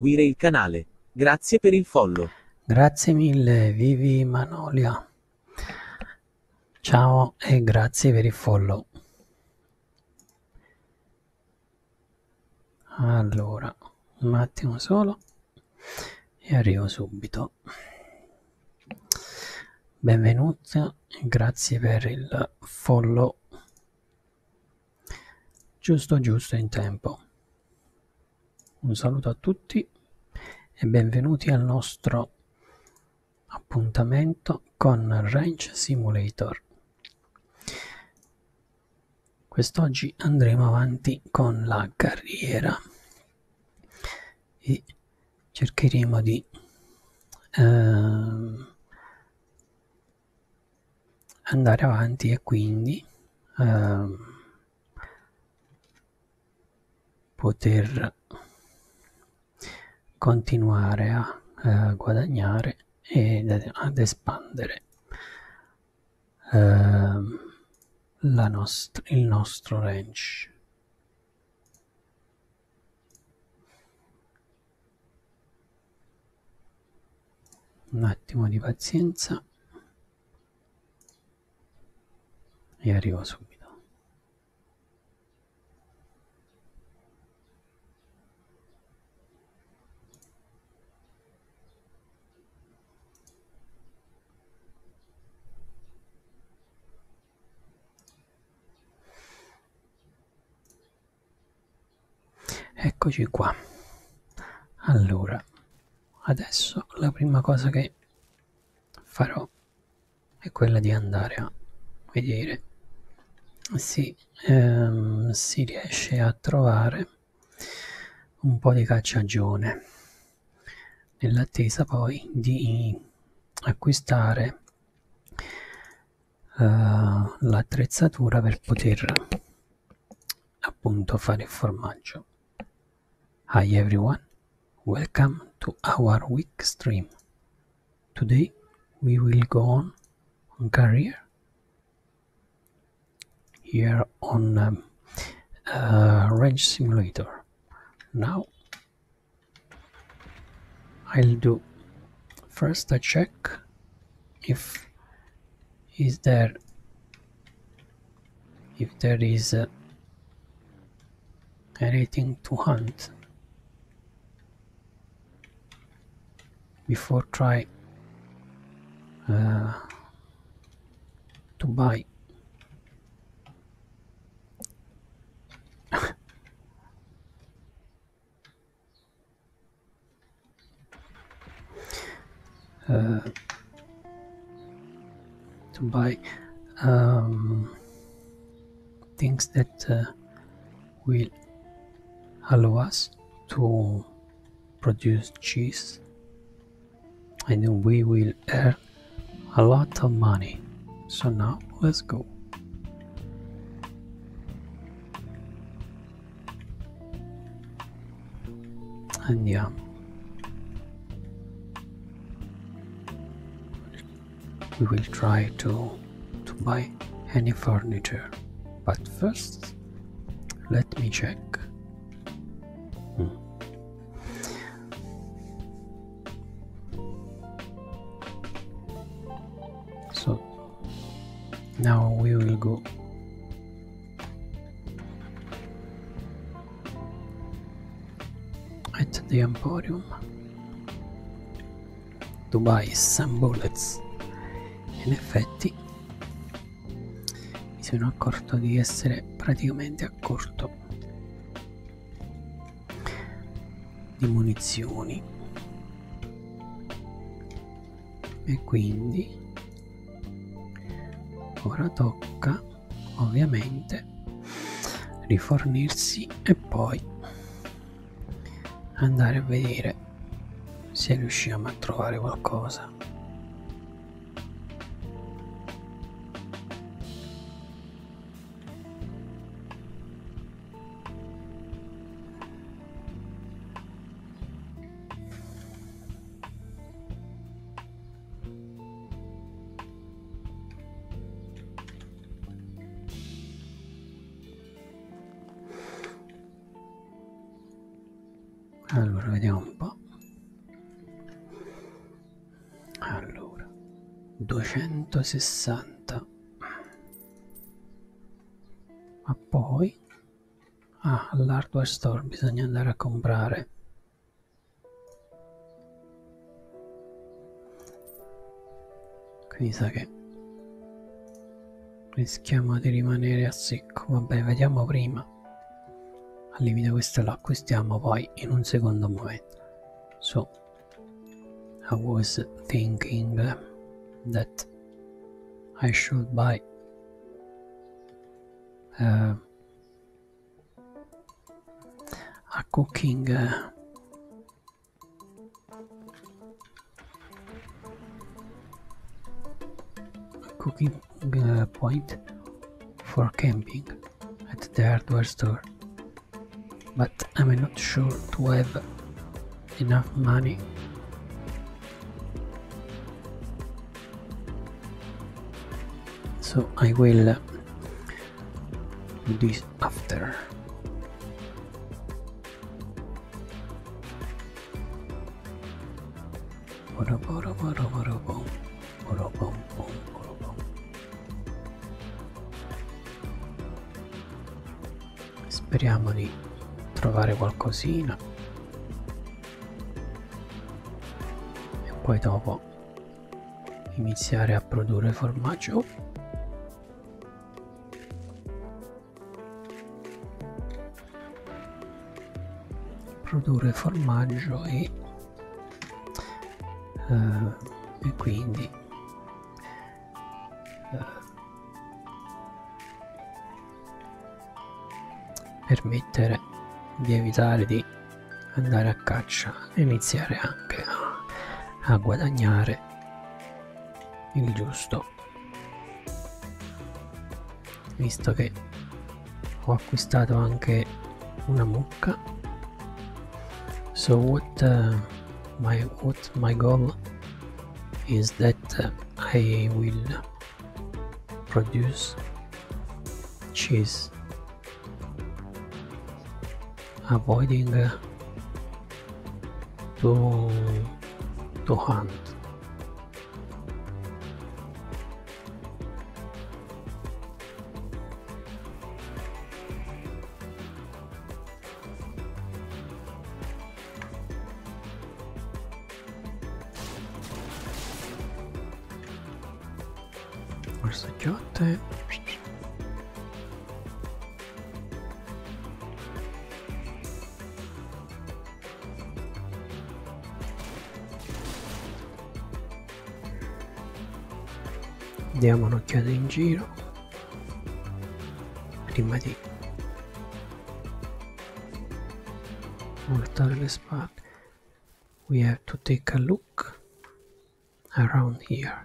seguire il canale. Grazie per il follow. Grazie mille, Vivi Manolia. Ciao e grazie per il follow. Allora, un attimo solo e arrivo subito. Benvenuti, grazie per il follow. Giusto giusto in tempo. Un saluto a tutti e benvenuti al nostro appuntamento con Range Simulator. Quest'oggi andremo avanti con la carriera e cercheremo di eh, andare avanti e quindi ehm, poter continuare a eh, guadagnare e ad espandere ehm, nost il nostro range un attimo di pazienza e arrivo subito eccoci qua allora adesso la prima cosa che farò è quella di andare a vedere se ehm, si riesce a trovare un po' di cacciagione nell'attesa poi di acquistare uh, l'attrezzatura per poter appunto fare formaggio. Hi everyone, welcome to our week stream. Today we will go on, career. Here on um, uh, Range Simulator. Now I'll do first I check if is there if there is uh, anything to hunt before try uh, to buy Uh, to buy um, things that uh, will allow us to produce cheese and we will earn a lot of money so now let's go and yeah. We will try to to buy any furniture. But first let me check. Hmm. So now we will go At the Emporium. Dubai, Sam Bullets. In effetti mi sono accorto di essere praticamente a corto di munizioni e quindi ora tocca ovviamente rifornirsi e poi andare a vedere se riusciamo a trovare qualcosa allora, vediamo un po'. Allora, 260. Ma poi Ah, all'hardware store bisogna andare a comprare. Qui mi sa che rischiamo di rimanere a secco. Vabbè, vediamo prima. Al limite questo lo acquistiamo poi in un secondo momento. So, I was thinking that I should buy uh, a cooking uh, a cooking uh, point for camping at the hardware store but I'm not sure to have enough money so I will do this after speriamo di trovare qualcosina e poi dopo iniziare a produrre formaggio produrre formaggio e, uh, e quindi uh, permettere di evitare di andare a caccia e iniziare anche a, a guadagnare il giusto visto che ho acquistato anche una mucca so what uh, my what my goal is that I will produce cheese avoiding uh, to to hunt Forza Giotte. Diamo un'occhiata in giro prima di voltare le spalle we have to take a look around here.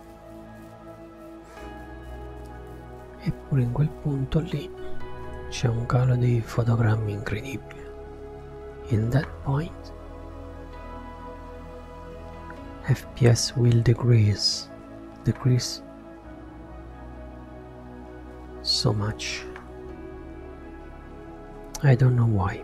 Eppure in quel punto lì c'è un calo di fotogrammi incredibile. In that point, FPS will decrease, decrease so much. I don't know why.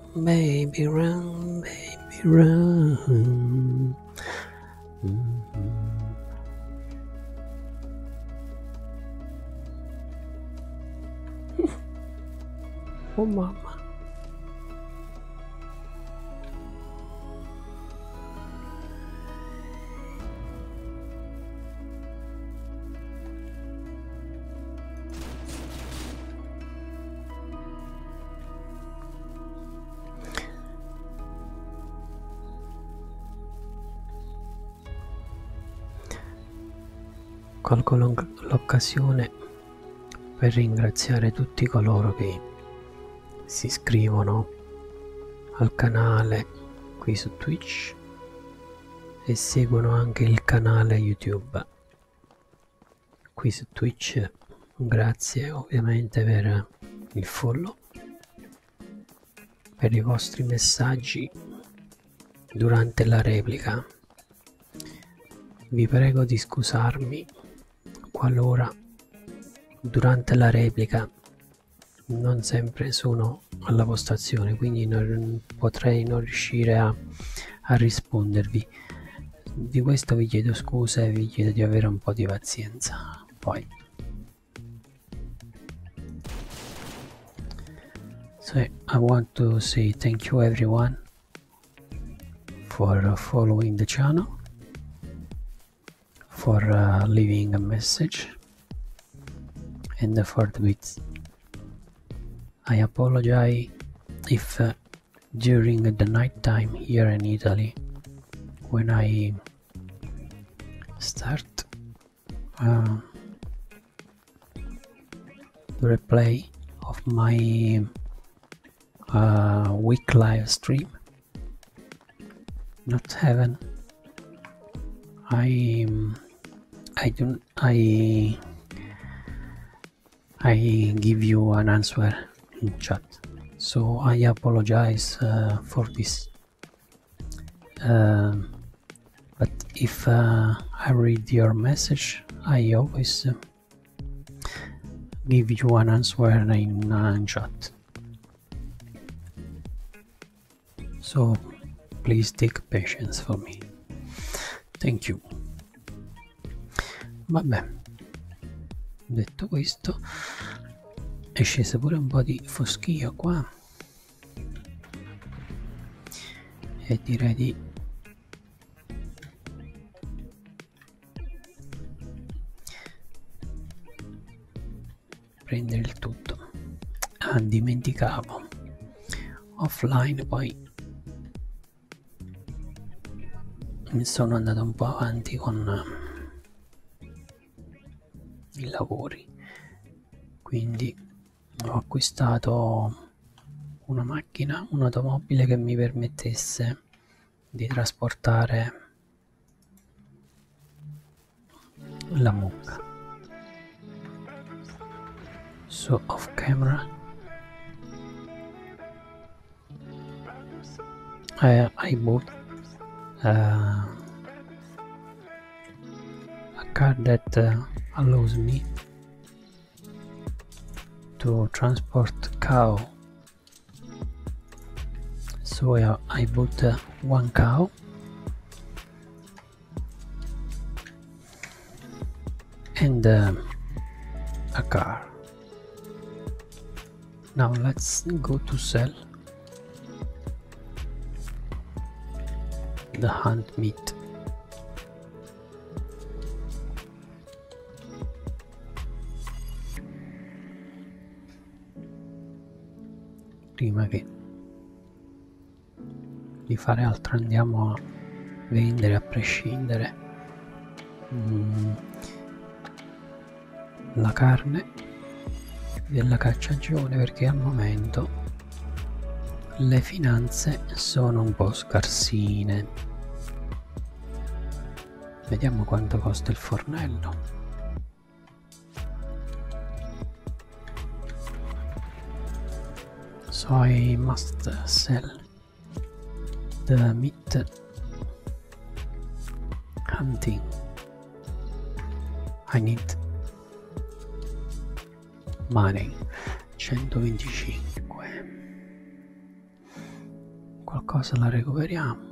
baby, run, baby, run. Mm-hmm. oh, mama. Colgo l'occasione per ringraziare tutti coloro che si iscrivono al canale qui su Twitch e seguono anche il canale YouTube qui su Twitch. Grazie ovviamente per il follow, per i vostri messaggi durante la replica. Vi prego di scusarmi qualora durante la replica non sempre sono alla postazione quindi non, potrei non riuscire a, a rispondervi di questo vi chiedo scusa e vi chiedo di avere un po' di pazienza poi so I want to say thank you everyone for following the channel for uh, leaving a message and for the bits I apologize if uh, during the night time here in Italy when I start the uh, replay of my uh, week live stream not heaven I I don't I I give you an answer in chat. So I apologize uh, for this. Um, but if uh, I read your message, I always uh, give you an answer in chat. So please take patience for me. Thank you. vabbè detto questo è sceso pure un po' di foschio qua e direi di prendere il tutto ah dimenticavo offline poi mi sono andato un po' avanti con eh, i lavori quindi ho acquistato una macchina un'automobile che mi permettesse di trasportare la mucca so off camera I, I bought uh, a car that uh, allows me to transport cow so I, bought uh, one cow and um, a car now let's go to sell the hand meat prima che di fare altro andiamo a vendere a prescindere mm, la carne della cacciagione perché al momento le finanze sono un po' scarsine vediamo quanto costa il fornello soy must sell della meat hunting. I need money 125. Qualcosa la recuperiamo.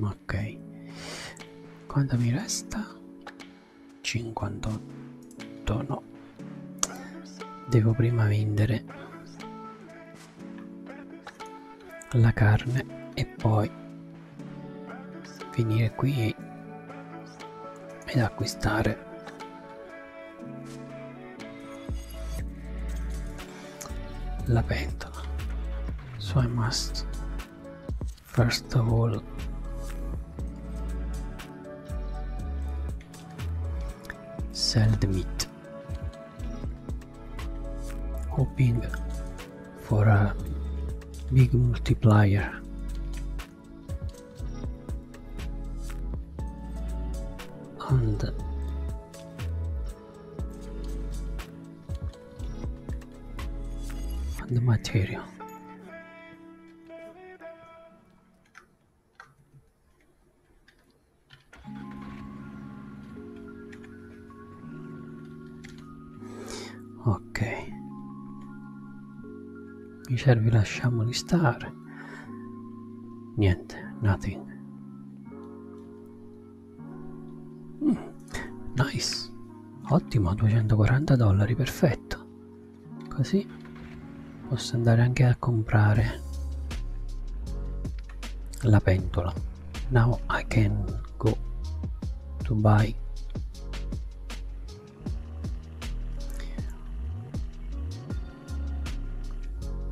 Ok. Quanta mi resta? 58 no devo prima vendere la carne e poi venire qui ed acquistare la pentola so I must first of all sell the meat hoping for a big multiplier and and the material ok i cervi lasciamoli stare niente nothing mm, nice ottimo 240 dollari perfetto così posso andare anche a comprare la pentola now I can go to buy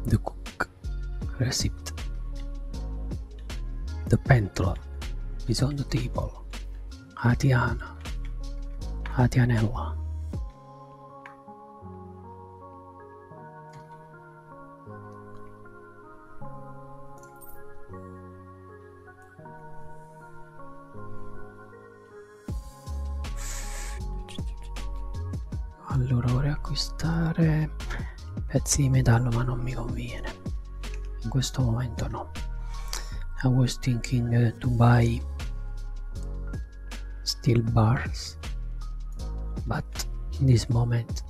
the cook receipt the pentola is on the table Atiana Atianella allora vorrei acquistare pezzi di metallo ma non mi conviene. In questo momento no. I was thinking to buy still bars, but in this moment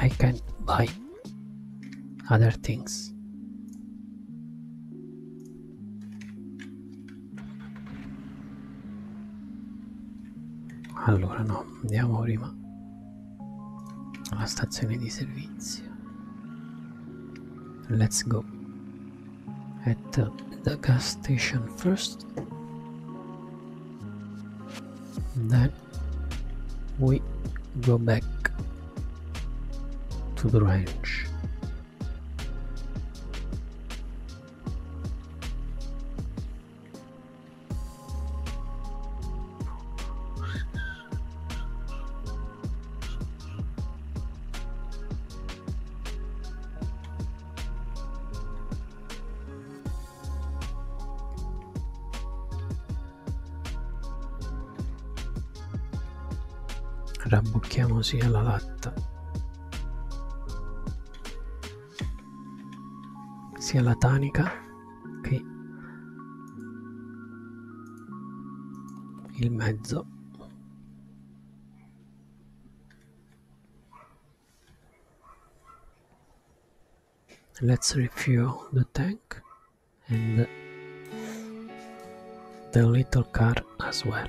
I can buy other things. Allora no, andiamo prima alla stazione di servizio. Let's go. At the, the gas station first. Then we go back to the ranch. Rabbocchiamosi alla latta, sia la tanica che let's refuel the tank and the little car as well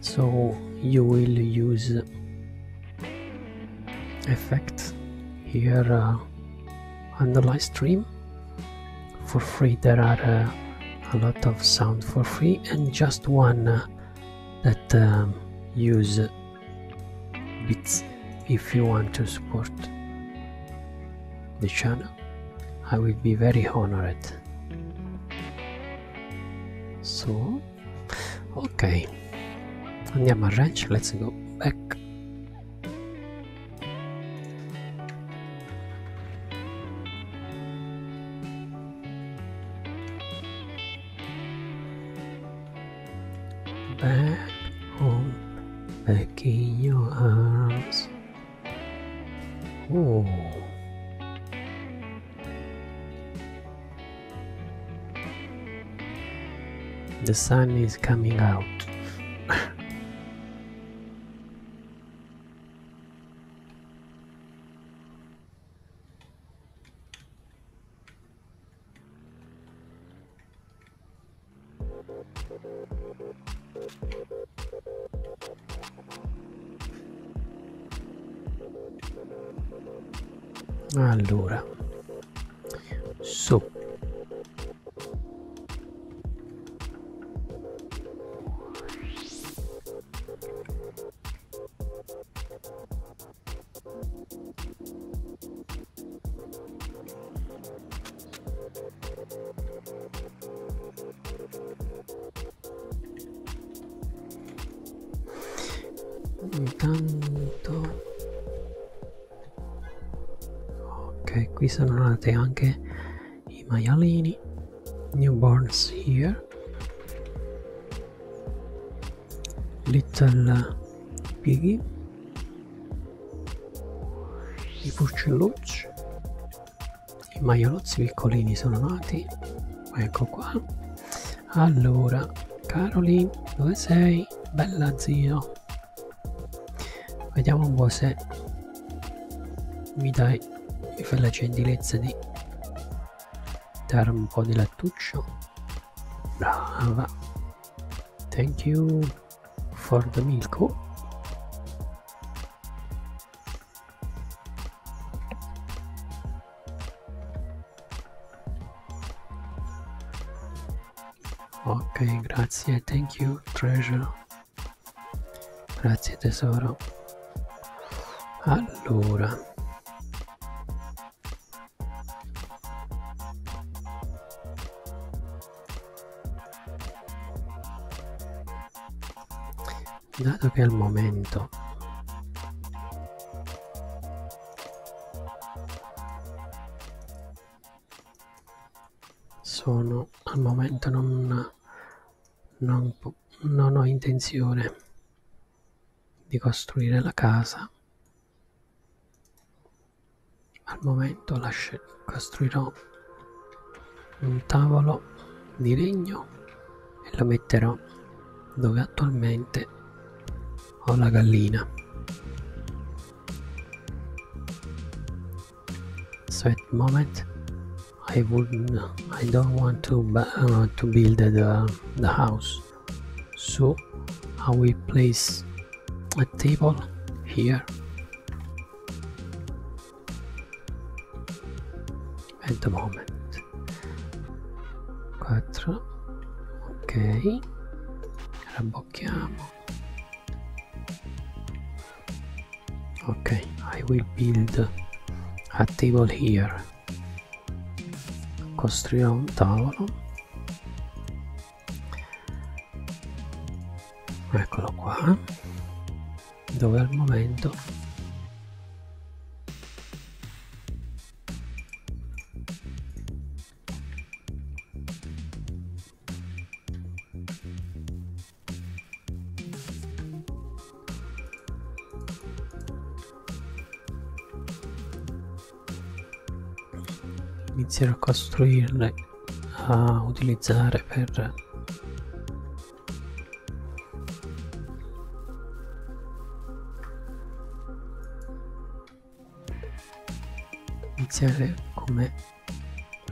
so you will use effect here uh, on the live stream for free there are uh, a lot of sound for free and just one uh, that um, use bits if you want to support the channel I will be very honored. So, ok, andiamo let's go back. Back home, back in your arms. Ooh. The sun is coming out. Allora, su intanto ok qui sono nati anche i maialini newborns here little piggy i porcellucci i maialozzi piccolini sono nati ecco qua allora Caroli dove sei bella zio vediamo un po' se mi dai mi fai la gentilezza di dare un po' di lattuccio brava thank you for the milk Ok, grazie, thank you, treasure. Grazie tesoro. Allora dato che al momento sono al momento non, non, non ho intenzione di costruire la casa al momento lascio, costruirò un tavolo di legno e la metterò dove attualmente ho la gallina so at moment I wouldn't I don't want to uh, to build the, the house so I will place a table here at the moment 4 ok rabbocchiamo ok I will build a table here costruiamo un tavolo eccolo qua dove al momento inizierò a costruirle a utilizzare per iniziare come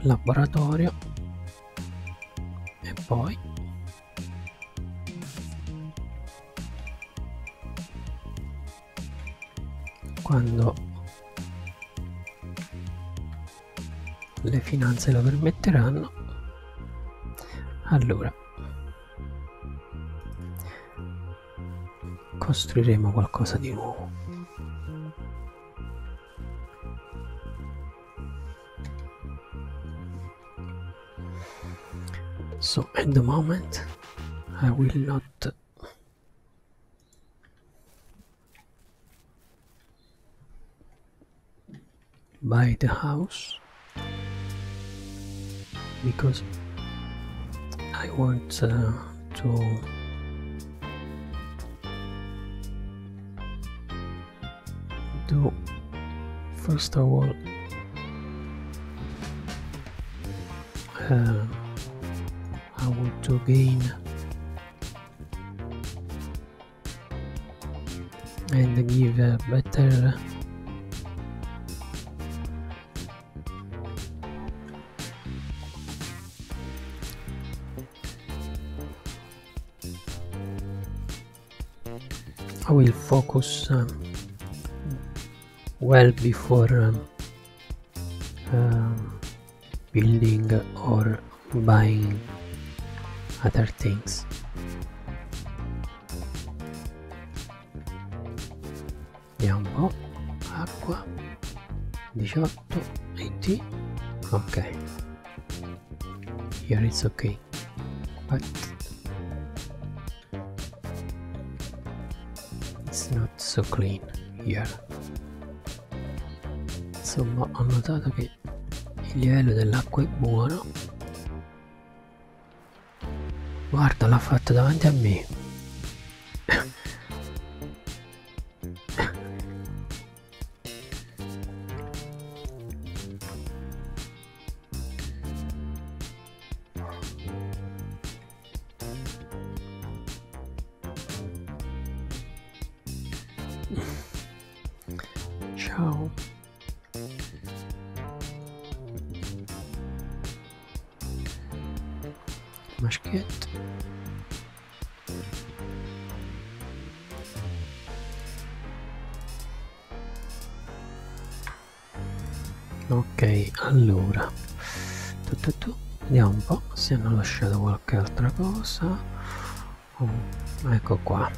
laboratorio e poi quando le finanze lo permetteranno allora costruiremo qualcosa di nuovo so at the moment I will not buy the house because I want uh, to do first of all uh, I want to gain and give a better uh, I will focus um, well before um, um, building or buying other things vediamo un oh, po' acqua 18 20 ok here it's ok but it's not so clean here insomma ho notato che il livello dell'acqua è buono Guarda, l'ha fatta davanti a me. Ciao. Maschietto. Ok, allora. Tu, tu, Vediamo un po' se hanno lasciato qualche altra cosa. Oh, ecco qua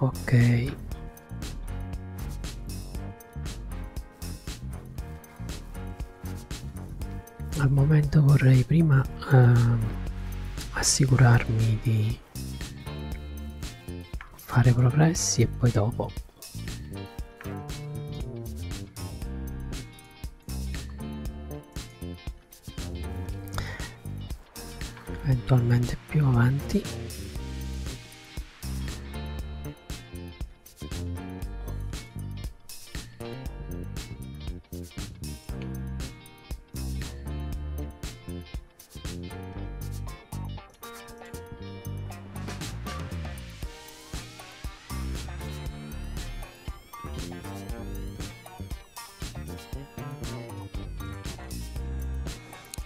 ok al momento vorrei prima eh, assicurarmi di fare progressi e poi dopo eventualmente più avanti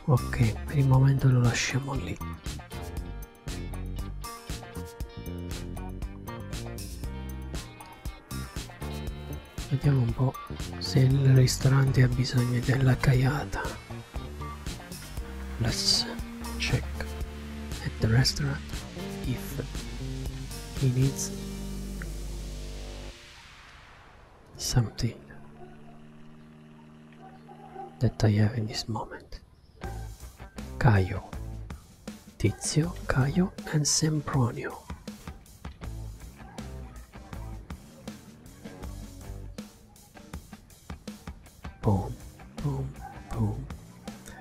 ok per il momento lo lasciamo lì vediamo un po' se il ristorante ha bisogno della caiata let's check at the restaurant if he needs something that I have in this moment. Caio, Tizio, Caio and Sempronio. Boom, boom, boom.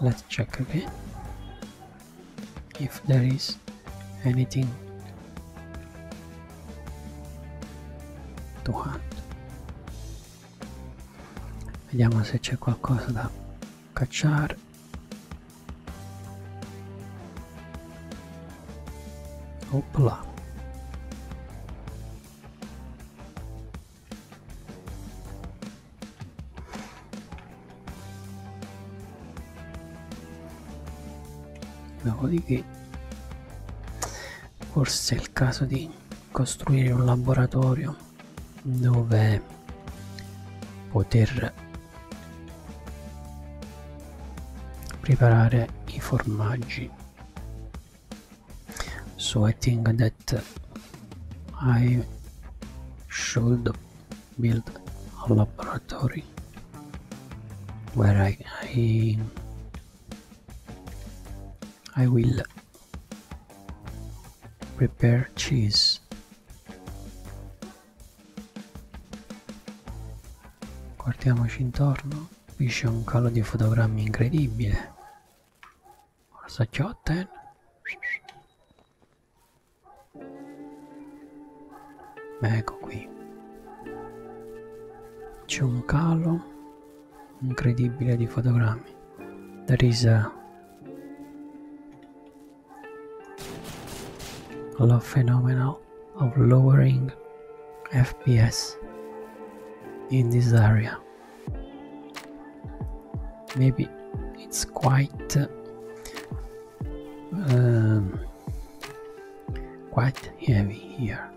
let's check okay if there is anything to hunt vediamo se c'è qualcosa da cacciare opla Dopodiché forse è il caso di costruire un laboratorio dove poter preparare i formaggi so I think that I should build a laboratory where I, I, I will prepare cheese guardiamoci intorno qui c'è un calo di fotogrammi incredibile What's the job then? Ecco qui. C'è un calo incredibile di fotogrammi. There is a the phenomenon of lowering FPS in this area. maybe it's quite uh, um, quite heavy here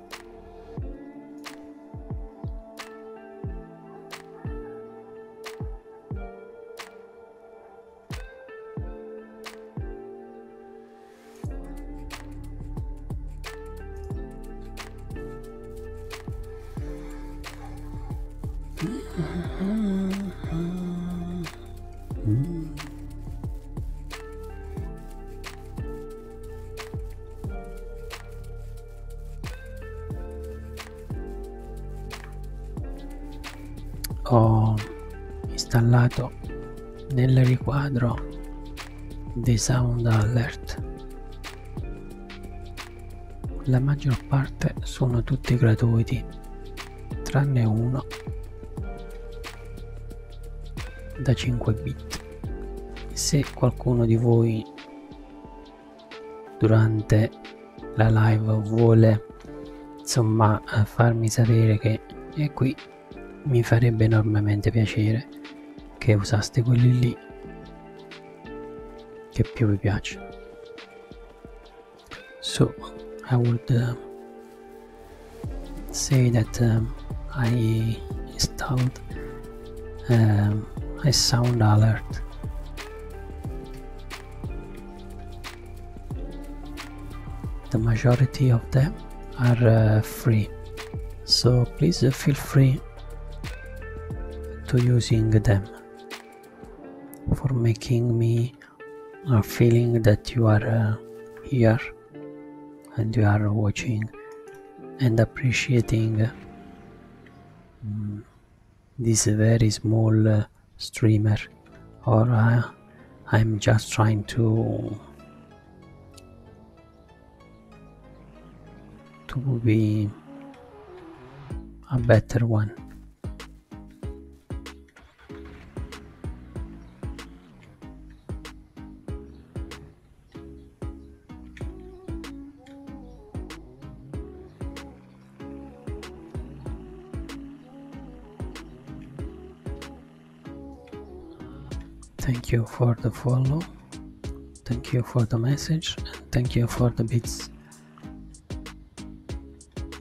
ho installato nel riquadro dei sound alert la maggior parte sono tutti gratuiti, tranne uno da 5 bit. Se qualcuno di voi durante la live vuole insomma eh, farmi sapere che è eh, qui mi farebbe enormemente piacere che usaste quelli lì Capiva Biatch. So I would um, say that um, I installed um, a sound alert the majority of them are uh, free so please uh, feel free to using them for making me a feeling that you are uh, here and you are watching and appreciating uh, mm, this very small uh, streamer or I'm just trying to to be a better one. Thank you for the follow. Thank you for the message. And thank you for the beats.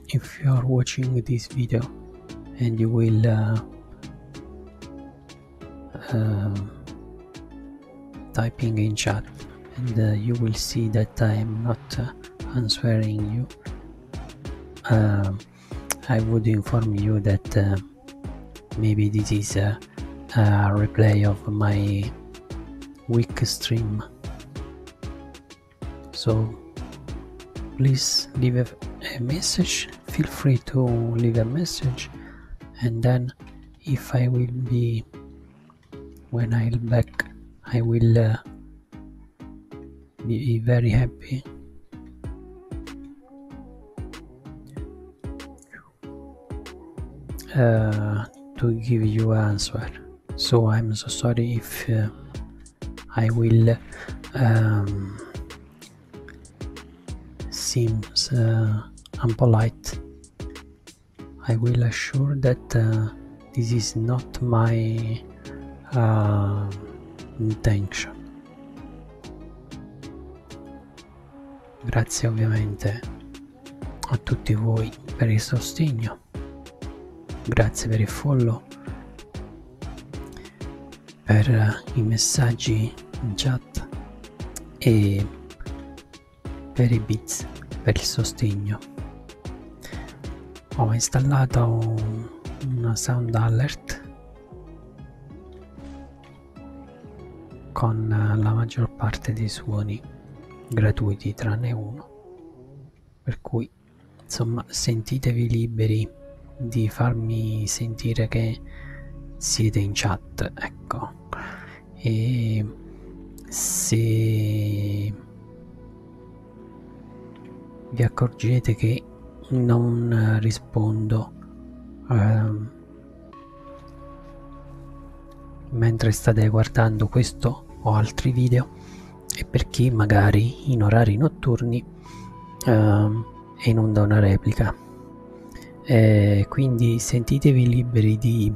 If you are watching this video and you will uh, um, typing in chat and uh, you will see that I am not uh, answering you. Um, I would inform you that maybe this is a, replay of my weak stream so please leave a, message feel free to leave a message and then if i will be when i'll back i will uh, be very happy uh, to give you an answer so i'm so sorry if uh, i will um, seem unpolite uh, i will assure that this is not my intention grazie ovviamente a tutti voi per il sostegno grazie per il follow per i messaggi in chat e per i bits per il sostegno ho installato una sound alert con eh, la maggior parte dei suoni gratuiti tranne uno per cui insomma sentitevi liberi di farmi sentire che siete in chat ecco e se vi accorgete che non rispondo ehm, Mentre state guardando questo o altri video è perché magari in orari notturni uh, è in onda una replica. Eh, quindi sentitevi liberi di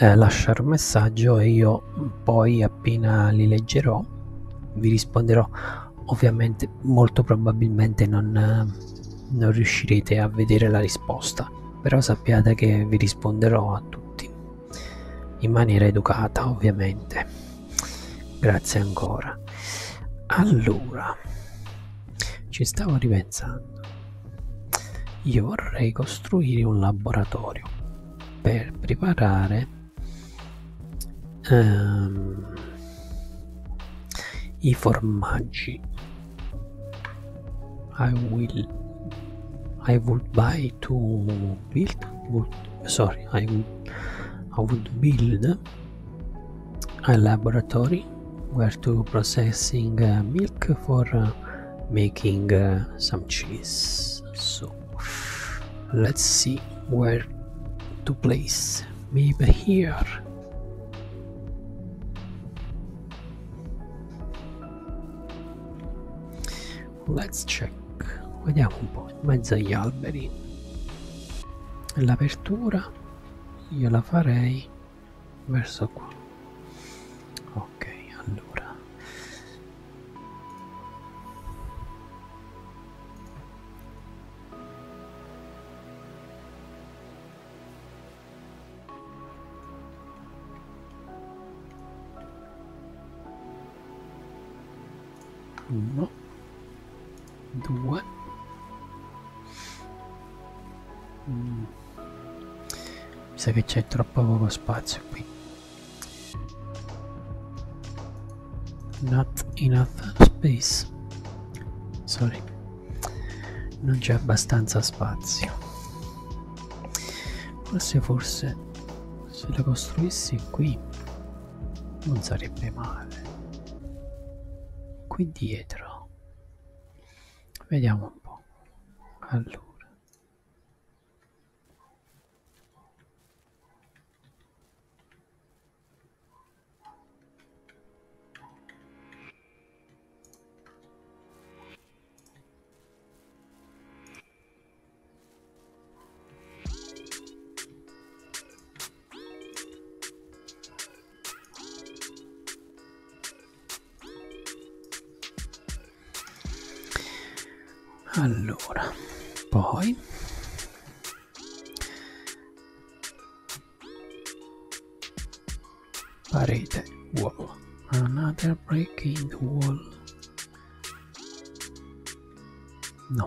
eh, lasciare un messaggio e io poi appena li leggerò vi risponderò ovviamente molto probabilmente non, non riuscirete a vedere la risposta, però sappiate che vi risponderò a tutti, in maniera educata ovviamente. Grazie ancora. Allora, ci stavo ripensando. Io vorrei costruire un laboratorio per preparare um, i formaggi I will I would buy to build sorry I would I would build a laboratory where to processing uh, milk for uh, making uh, some cheese so let's see where to place maybe here Let's check. Vediamo un po' in mezzo agli alberi. L'apertura io la farei verso qua. Ok, allora uno due mm. mi sa che c'è troppo poco spazio qui not enough space sorry non c'è abbastanza spazio forse forse se la costruissi qui non sarebbe male qui dietro vediamo un po allora allora, poi Parade wall. Another break in the wall. No.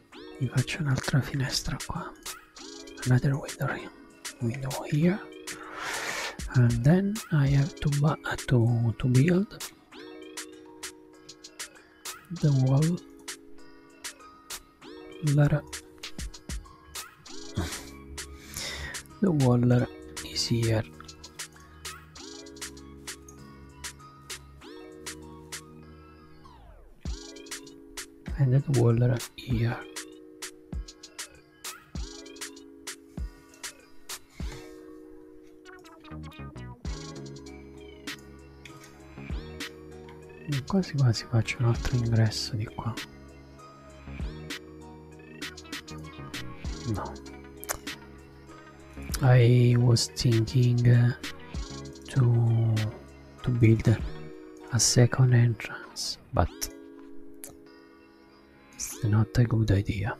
you got another window here window here and then I have to to, to build the wall the wall is here and that Waller here e quasi quasi faccio un altro ingresso di qua no I was thinking to to build a second entrance, but it's not a good idea.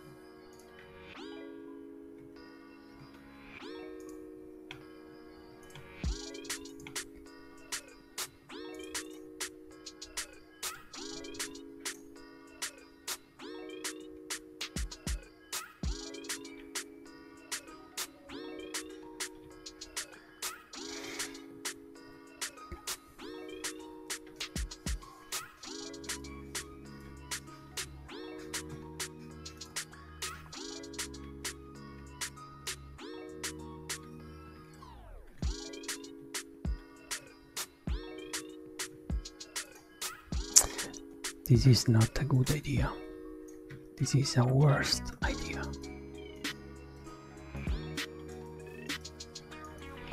This is not a good idea. This is a worst idea.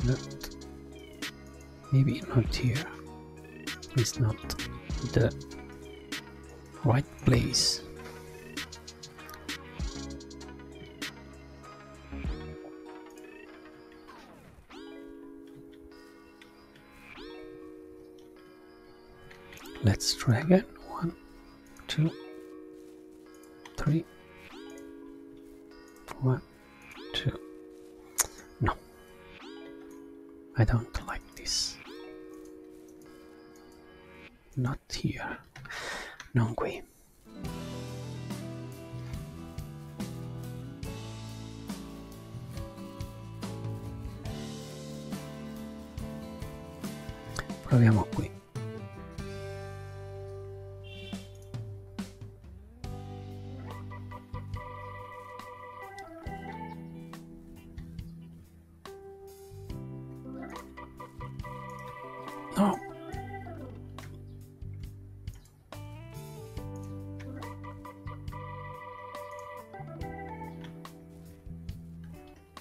Not. maybe not here. It's not the right place. Let's try again. One, two, three, one, two. No, I don't like this. Not here. Non qui. proviamo qui no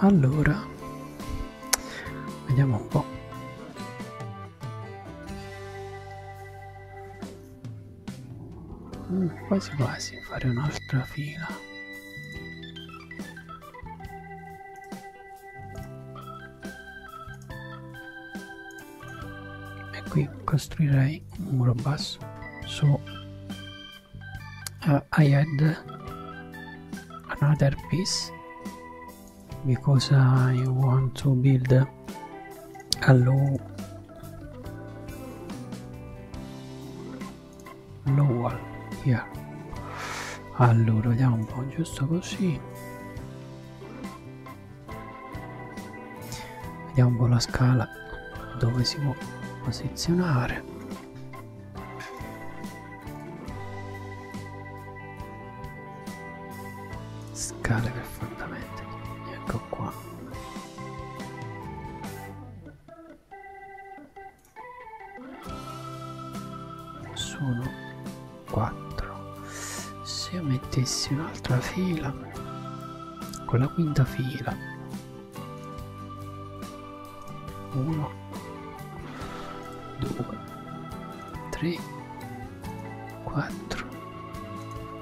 allora vediamo un po' mm, quasi quasi fare un'altra fila e qui costruirei un muro basso su uh, eh, I had another piece because I want to build a low low wall here allora vediamo un po' giusto così vediamo un po' la scala dove si può posizionare scale per fondamenti ecco qua sono 4 se io mettessi un'altra fila con la quinta fila 1 2 3 4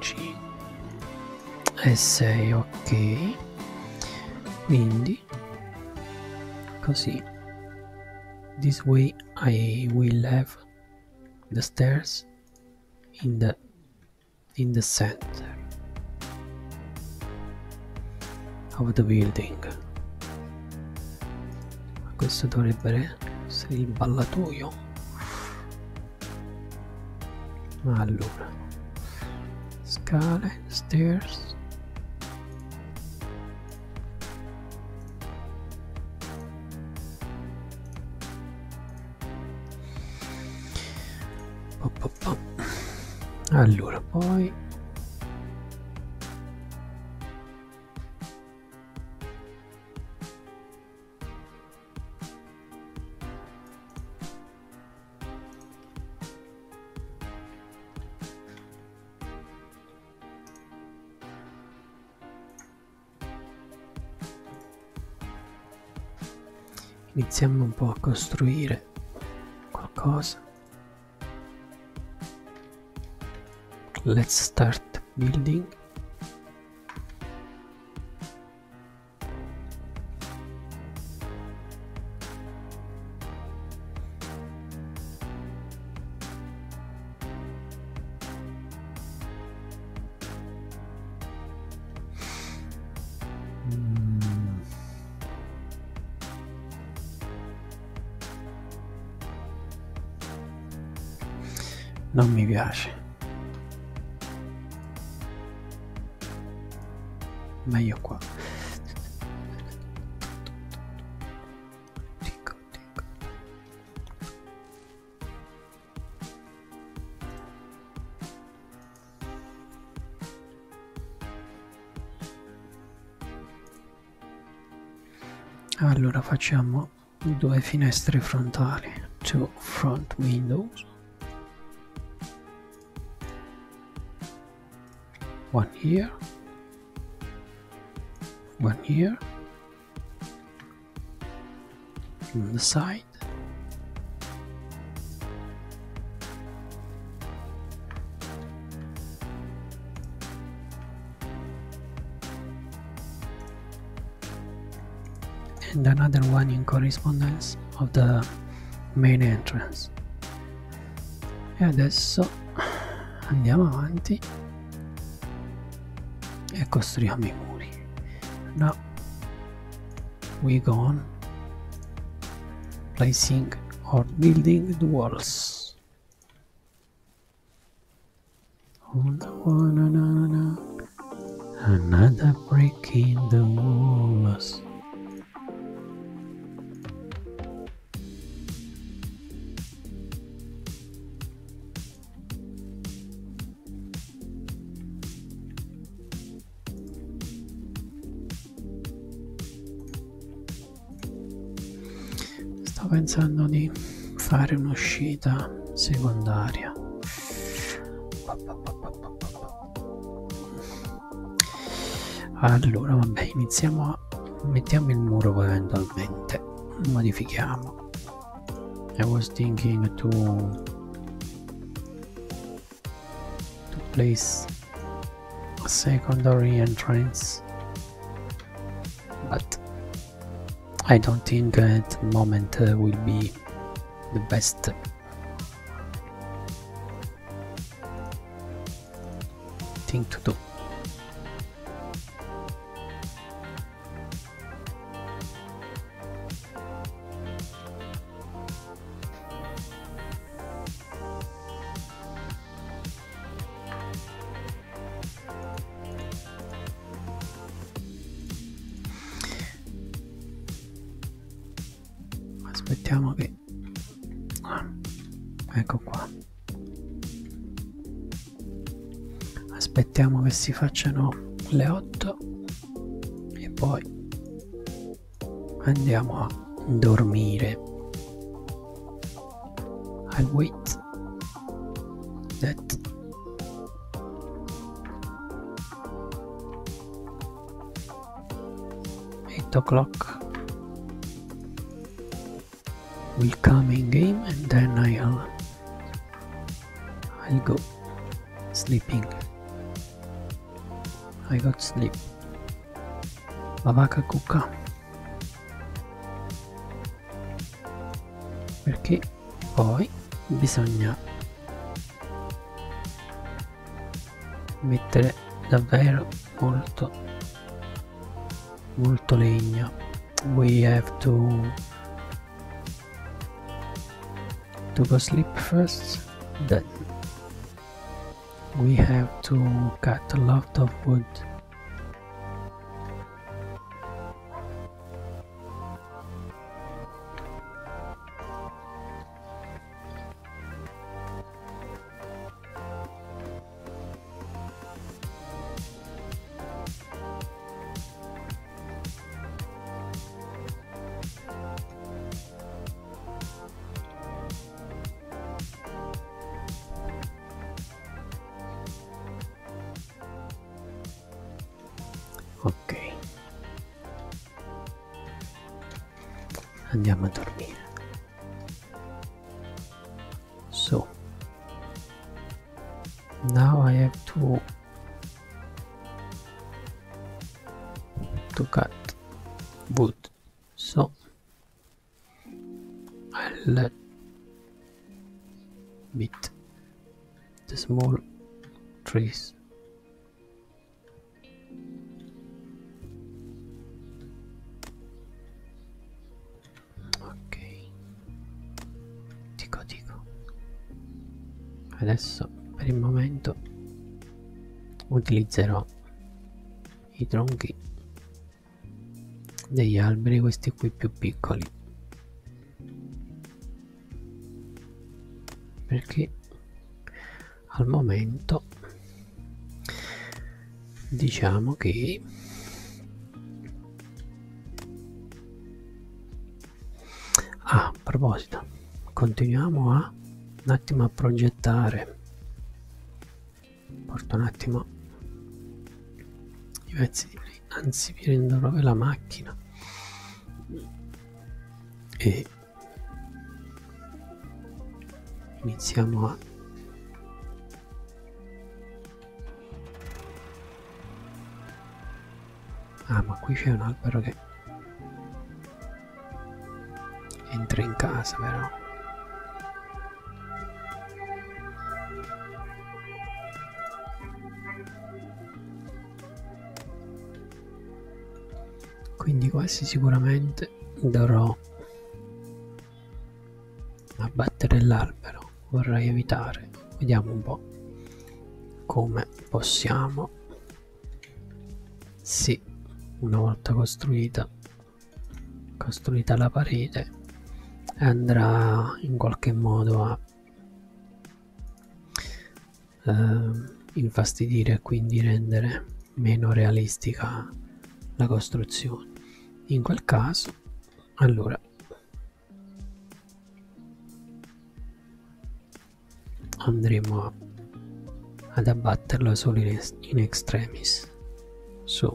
5 e 6 ok quindi così this way I will have the stairs in the in the center of the building questo dovrebbe essere il ballatoio allora scale stairs allora poi Iniziamo un po' a costruire qualcosa. Let's start building. Mm. non mi piace. Meglio qua. Dico, dico allora facciamo due finestre frontali two front windows one here one here from the side. And another one in correspondence of the main entrance. E adesso andiamo avanti e costruiamo i muri. No, we gone placing or building the walls oh, another brick in the walls Sto pensando di fare un'uscita secondaria. Allora, vabbè, iniziamo a mettiamo il muro poi eventualmente modifichiamo I was thinking to to place a secondary entrance but I don't think at the moment uh, will be the best thing to do. aspettiamo che ah, ecco qua aspettiamo che si facciano le 8 e poi andiamo a dormire I wait that eight o'clock will come in game and then I'll I'll go sleeping. I got sleep. Babaka cucca. Perché poi bisogna mettere davvero molto molto legna we have to to go sleep first then we have to cut a lot of wood Ok. Andiamo a dormire. So now I have to to cut wood so I let bit the small trees okay tico tico adesso per il momento utilizzerò i tronchi degli alberi questi qui più piccoli perché al momento diciamo che ah, a proposito continuiamo a un attimo a progettare porto un attimo i pezzi di lì anzi vi rendo proprio la macchina e iniziamo a ah ma qui c'è un albero che entra in casa però quindi questi sicuramente dovrò abbattere l'albero vorrei evitare vediamo un po come possiamo sì, una volta costruita, costruita la parete, andrà in qualche modo a eh, infastidire e quindi rendere meno realistica la costruzione. In quel caso, allora andremo ad abbatterlo solo in, in extremis so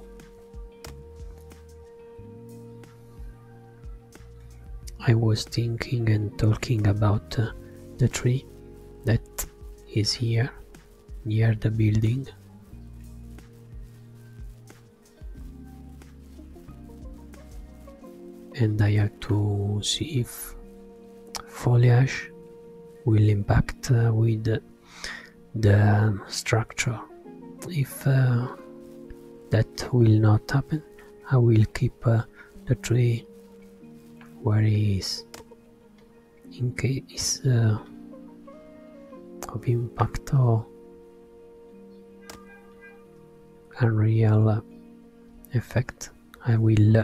I was thinking and talking about uh, the tree that is here near the building and I have to see if foliage will impact uh, with the structure. If uh, that will not happen, I will keep uh, the tree where it is in case of impact or a real effect. I will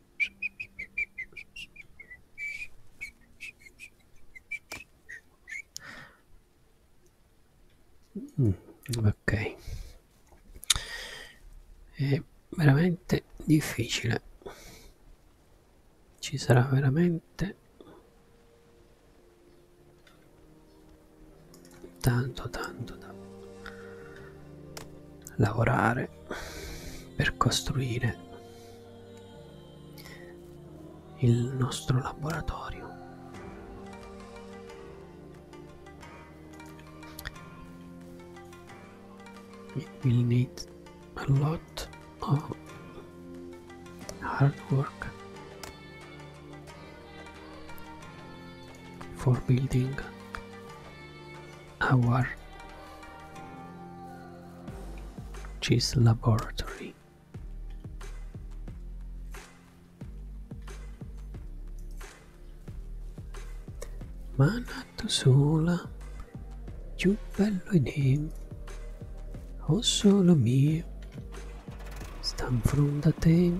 Mm, ok è veramente difficile ci sarà veramente tanto tanto da lavorare per costruire il nostro laboratorio. We'll need a lot of hard work for building our cheese laboratory. Manatto sola, più bello in him, o solo mio, stan from the te.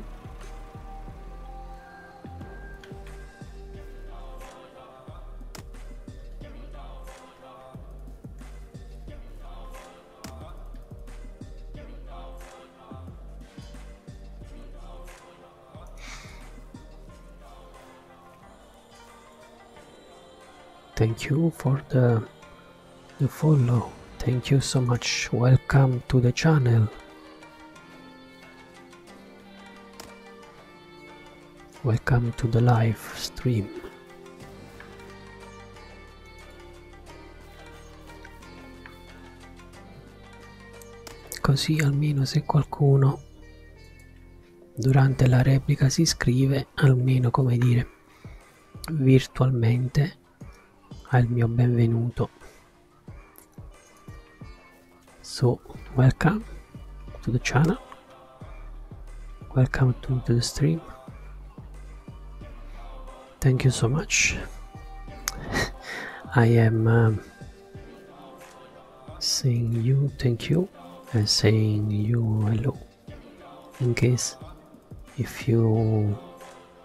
Thank you for the, the follow. Thank you so much. Welcome to the channel. Welcome to the live stream. Così almeno se qualcuno durante la replica si iscrive, almeno come dire virtualmente al mio benvenuto. so welcome to the channel welcome to, the stream thank you so much I am um, saying you thank you and saying you hello in case if you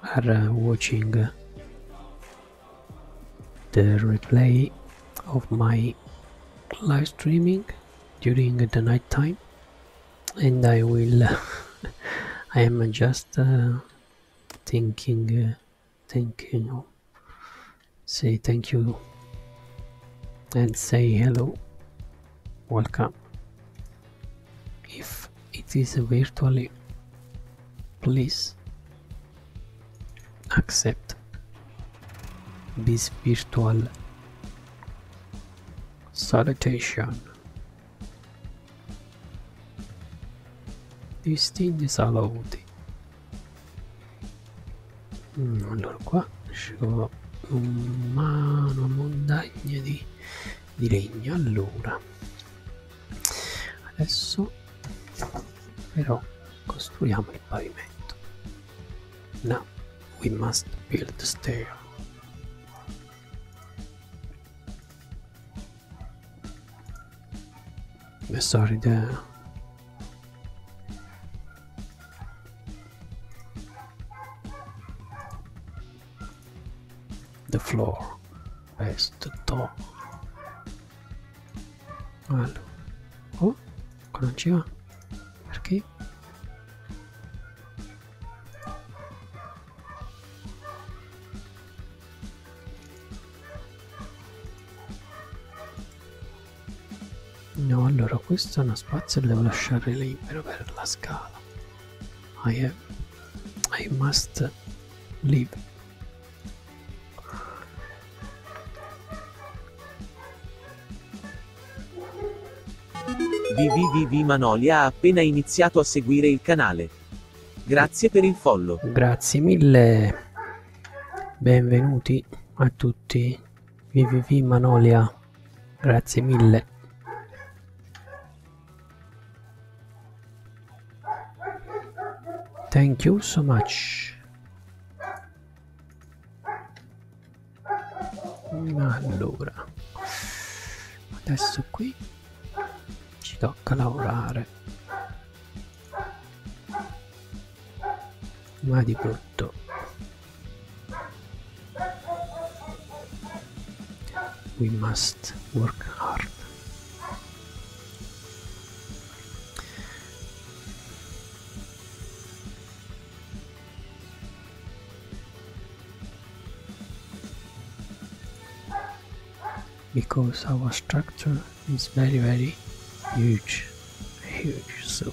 are uh, watching uh, the replay of my live streaming during the night time and I will I am just uh, thinking uh, thinking say thank you and say hello welcome if it is virtually please accept this virtual salutation distingue saluti mm, allora qua scelgo mano montagna di, di legno allora adesso però costruiamo il pavimento. Now we must build the stair. Sorry, the the floor, past the top. Allora. Oh, qua ecco, non ci va. Perché? No, allora questo è uno spazio che devo lasciare libero per la scala. I have... I must leave VVVV Manolia ha appena iniziato a seguire il canale. Grazie per il follow. Grazie mille. Benvenuti a tutti. VVV Manolia. Grazie mille. Thank you so much allora adesso qui ci tocca lavorare ma di brutto we must work hard because our structure is very very huge huge so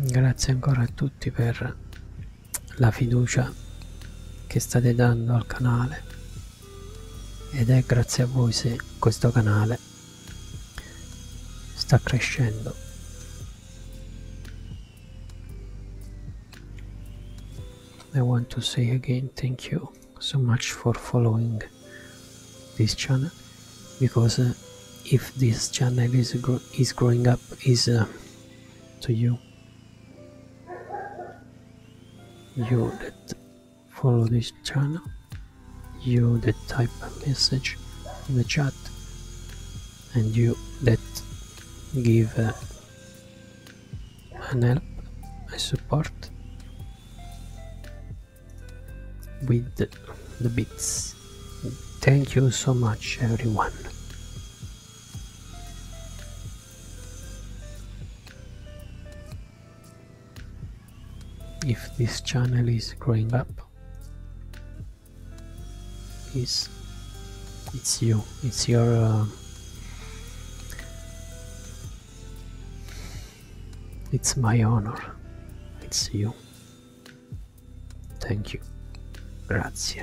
Grazie ancora a tutti per la fiducia che state dando al canale ed è grazie a voi se questo canale sta crescendo I want to say again thank you so much for following this channel because uh, if this channel is is growing up is uh, to you you that follow this channel you that type a message in the chat and you that give uh, and help and support with the, the bits. Thank you so much everyone. If this channel is growing up, it's it's you, it's your uh, it's my honor. It's you. Thank you. Grazie.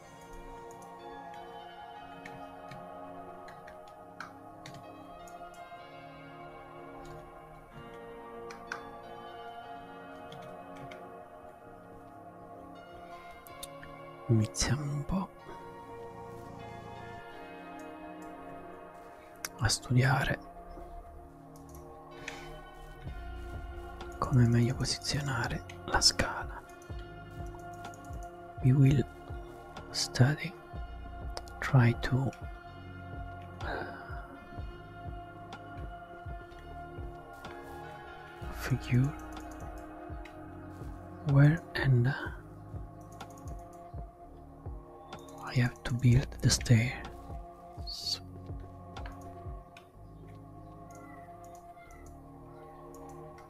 Iniziamo un po' a studiare come meglio posizionare la scala. we will study try to uh, figure where and uh, I have to build the stairs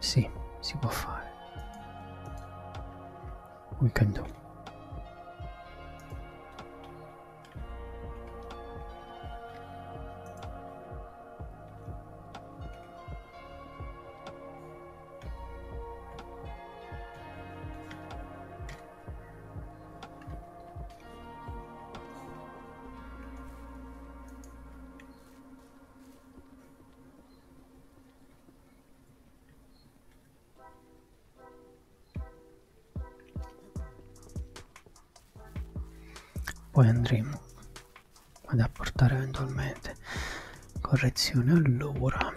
Sì, si può fare. We can do poi andremo ad apportare eventualmente correzione allora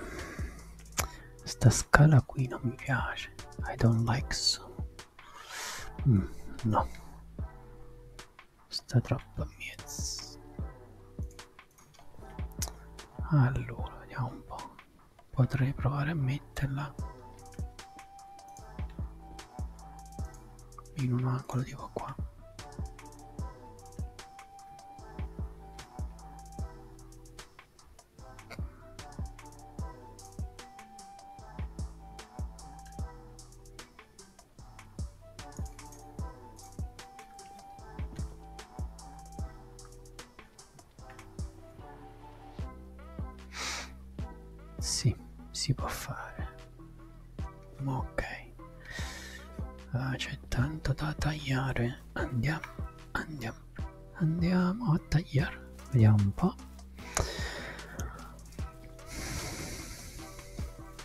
sta scala qui non mi piace I don't like so mm, no sta troppo a mezzo allora vediamo un po' potrei provare a metterla in un angolo tipo qua sì, si può fare. Ok. Ah, c'è tanto da tagliare. Andiamo, andiamo, andiamo a tagliare. Vediamo un po'.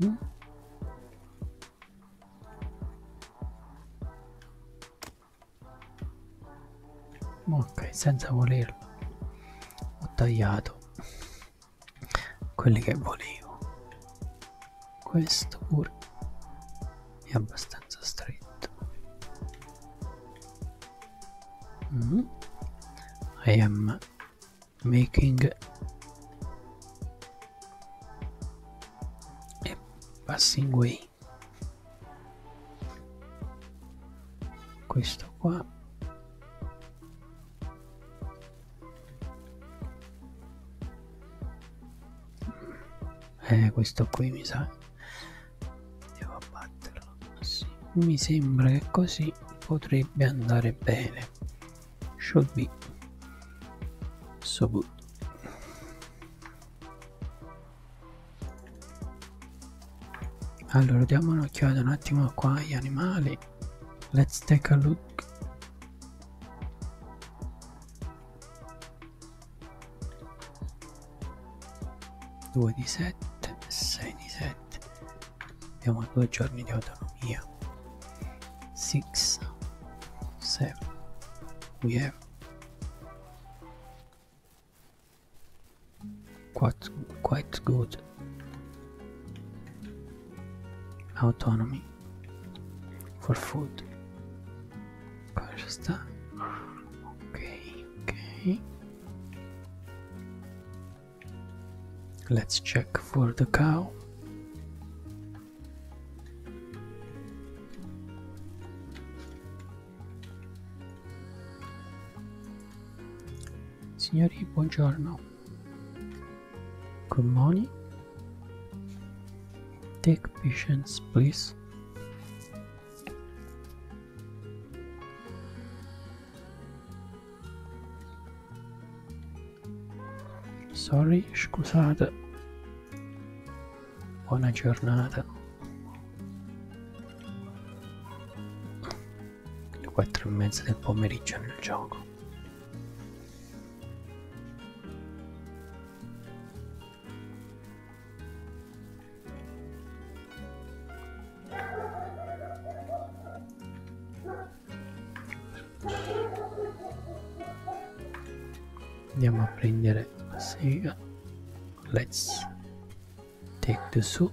Mm? ok senza volerlo ho tagliato quelli che volevo questo pure è abbastanza stretto mm. I am making e passing way questo qua eh questo qui mi sa devo abbatterlo sì. mi sembra che così potrebbe andare bene should be so good. Allora diamo un'occhiata un attimo qua agli animali. Let's take a look. Due di sette, sei di sette, abbiamo due giorni di autonomia six seven we have quite quite good autonomy for food pasta okay okay Let's check for the cow. Signori, buongiorno. Good morning. Take patience, please. Sorry, scusate. Buona giornata. Le quattro e mezza del pomeriggio nel gioco andiamo a prendere la sega let's take the soup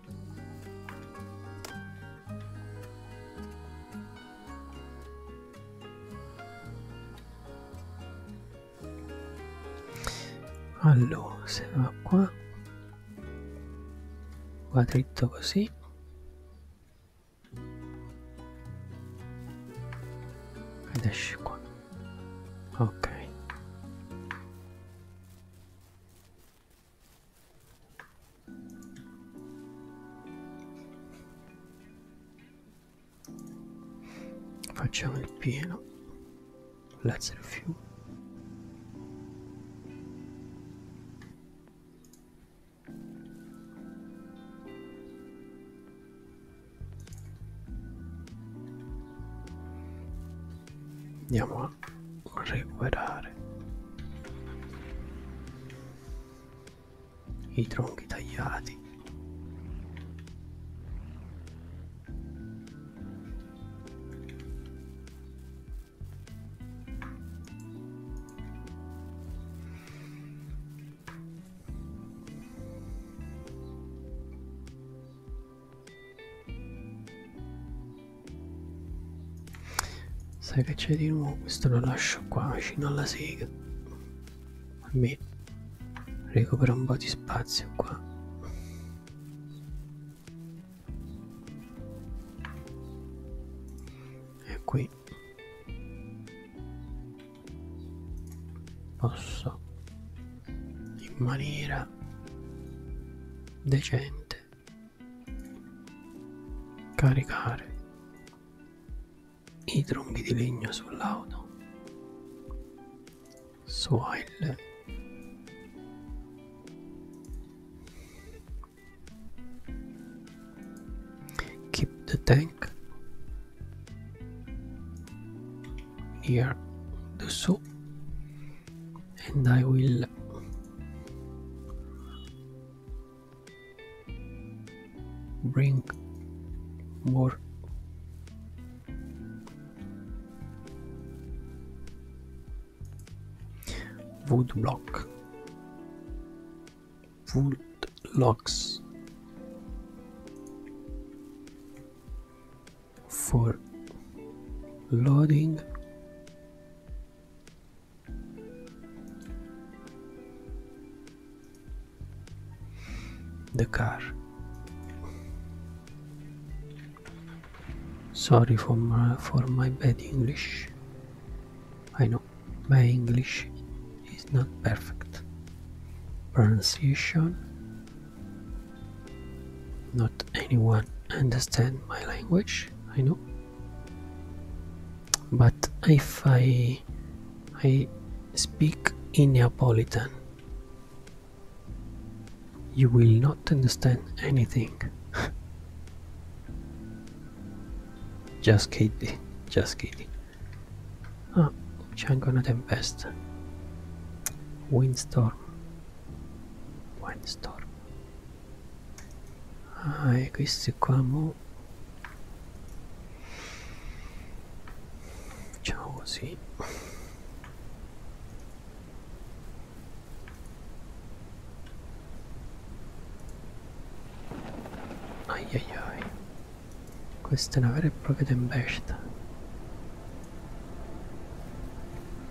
allora se va qua va dritto così ed esce qua ok Facciamo il pieno. Let's refuel andiamo a recuperare i tronchi tagliati Sai che c'è di nuovo? Questo lo lascio qua vicino alla sega. Almeno recupero un po' di spazio qua. E qui posso in maniera decente caricare i tronchi di legno sull'auto swile keep the tank near the soup and I will bring more wood block wood logs for loading the car. Sorry for my, for my bad English. I know my English is not perfect. Pronunciation. Not anyone understand my language. I know but if I I speak in Neapolitan you will not understand anything just kidding just kidding ah which oh, c'è una tempesta windstorm windstorm ah e questi qua mo facciamo così ai ai ai questa è una vera e propria tempesta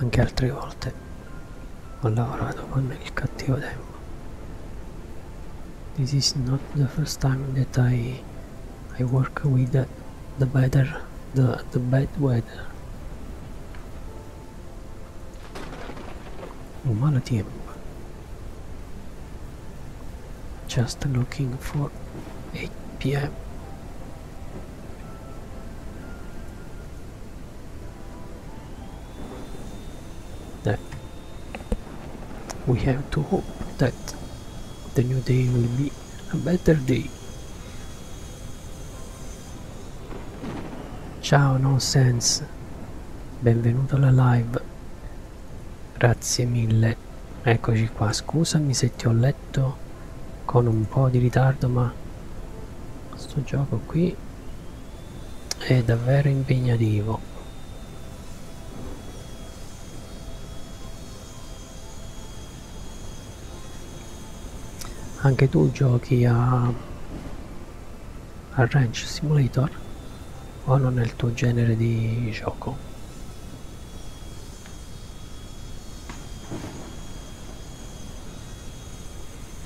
anche altre volte ho lavorato con il cattivo tempo this is not the first time that I I work with the, the better the, the bad weather un malo tempo just looking for 8 p.m that we have to hope that the new day will be a better day. Ciao Nonsense, benvenuto alla live, grazie mille, eccoci qua, scusami se ti ho letto con un po' di ritardo ma sto gioco qui è davvero impegnativo anche tu giochi a, a Ranch Simulator o non è il tuo genere di gioco?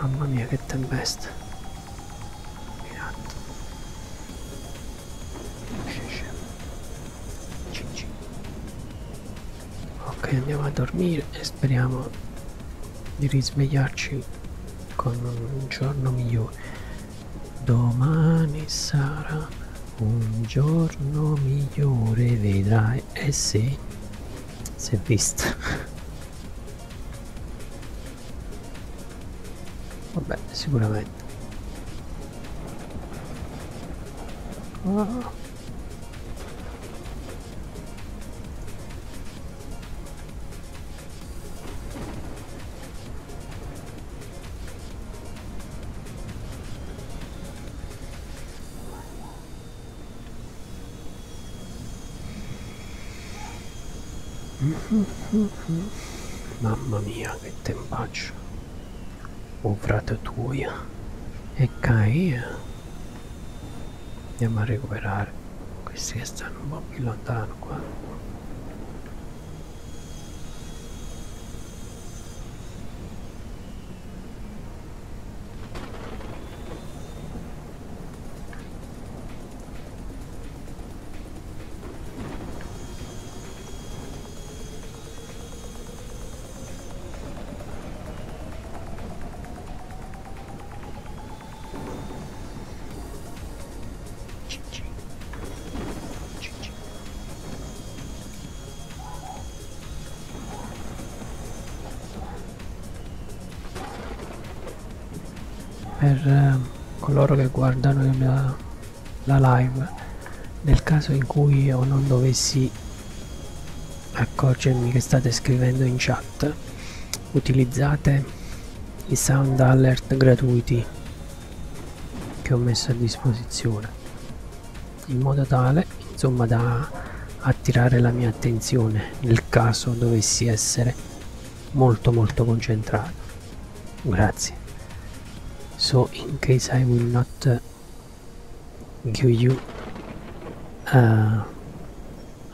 Mamma mia che tempesta. Mirando. Scesce ok andiamo a dormire e speriamo di risvegliarci con un giorno migliore domani sarà un giorno migliore vedrai eh sì si è visto vabbè sicuramente oh. Mamma mia che tempaccio o ratatouille e Caia andiamo a recuperare questi che stanno un po' più lontano qua per eh, coloro che guardano mia, la live nel caso in cui io non dovessi accorgermi che state scrivendo in chat utilizzate i sound alert gratuiti che ho messo a disposizione in modo tale insomma da attirare la mia attenzione nel caso dovessi essere molto molto concentrato grazie so in case I will not give you a, uh,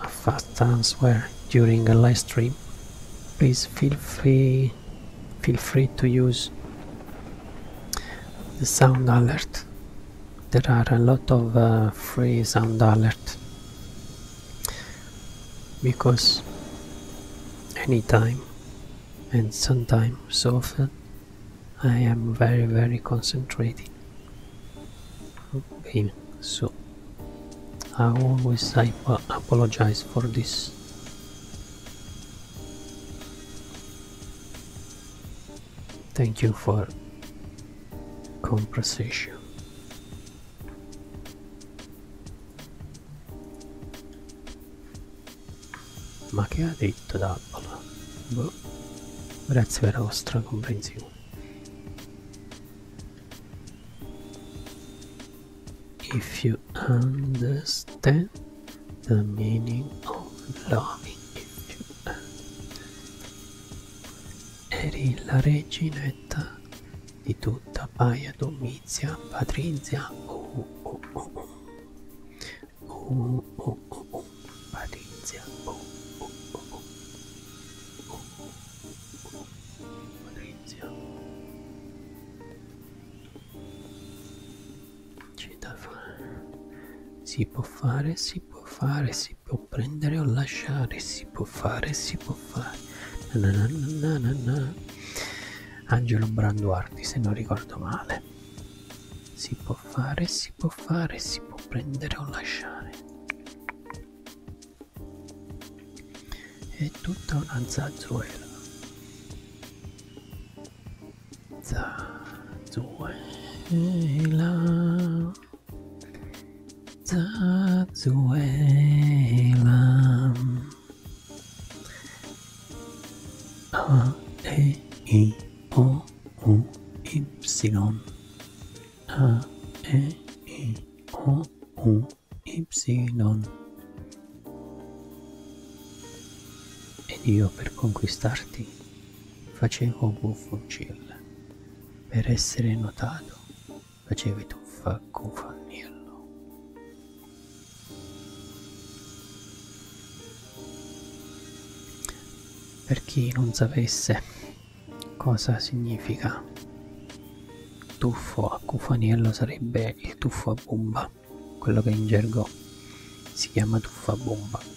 a fast answer during a live stream please feel free feel free to use the sound alert there are a lot of uh, free sound alert because anytime and sometimes so often I am very very concentrated. Okay, so I always apologize for this. Thank you for conversation. Ma che ha detto trappola. Boh. Grazie per la vostra comprensione. If you understand the meaning of loving, eri la reginetta di tutta Paia Domizia Patrizia. Oh, oh, oh, oh. Oh, oh, oh, oh. Patrizia. Oh, oh, oh, oh. Oh, oh, oh. Patrizia. C'è da fare. Si può fare, si può fare, si può prendere o lasciare, si può fare, si può fare. Na na na na na. Angelo Branduardi, se non ricordo male si può fare, si può fare, si può prendere o lasciare. È tutta una zazzuela. Zazzuela. Zazzuela. A, E, I, O. U Y A E I O U Y Ed io per conquistarti facevo buffocilla, per essere notato facevi tuffa cufaniello. Per chi non sapesse cosa significa tuffo a cufaniello sarebbe il tuffo a bomba, quello che in gergo si chiama tuffo a bomba.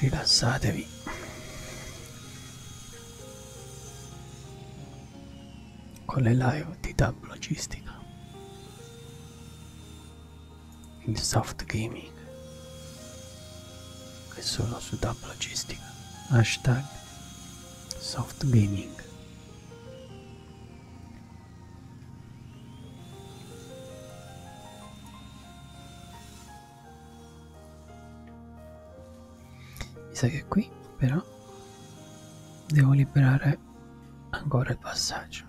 Rilassatevi. Con le live di Tab Logistica. Il soft gaming. Che solo su Tab Logistica. Hashtag soft gaming mi sa che qui però devo liberare ancora il passaggio.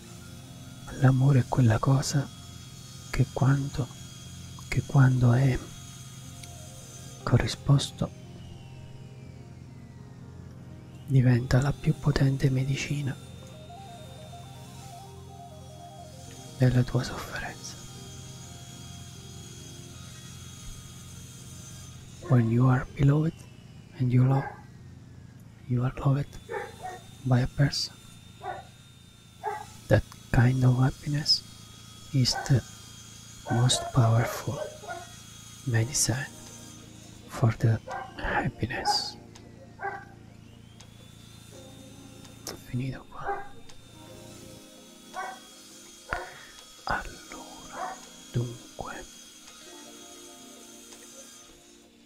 L'amore è quella cosa che quando, che quando è corrisposto diventa la più potente medicina della tua sofferenza. When you are beloved and you love, you are loved by a person. That kind of happiness is the most powerful medicine for the happiness. Finito qua. Allora, dunque.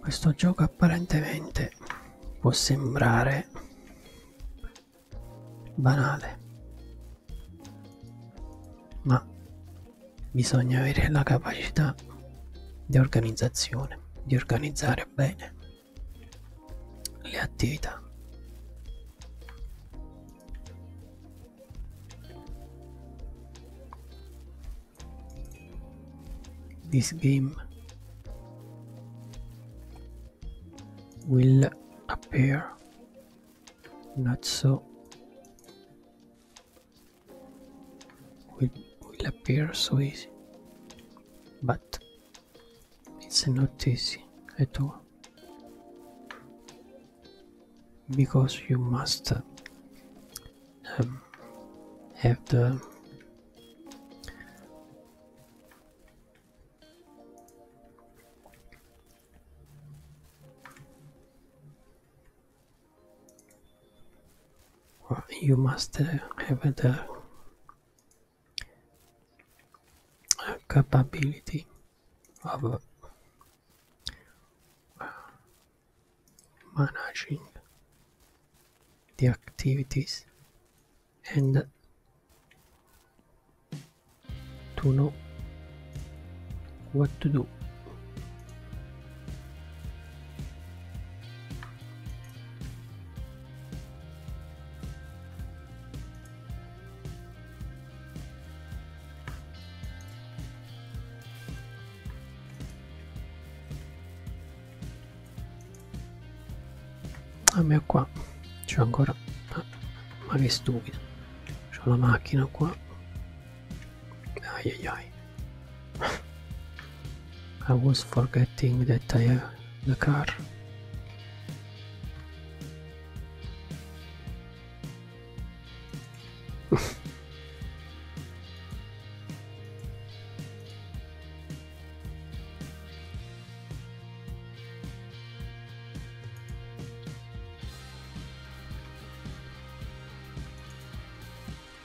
Questo gioco apparentemente può sembrare banale, ma bisogna avere la capacità di organizzazione, di organizzare bene le attività. This game will appear not so will, will appear so easy but it's not easy at all because you must um, have the you must uh, have the uh, capability of uh, managing the activities and to know what to do a ah, me qua c'è ancora ah, ma che stupido c'ho la macchina qua I was forgetting that I have the car.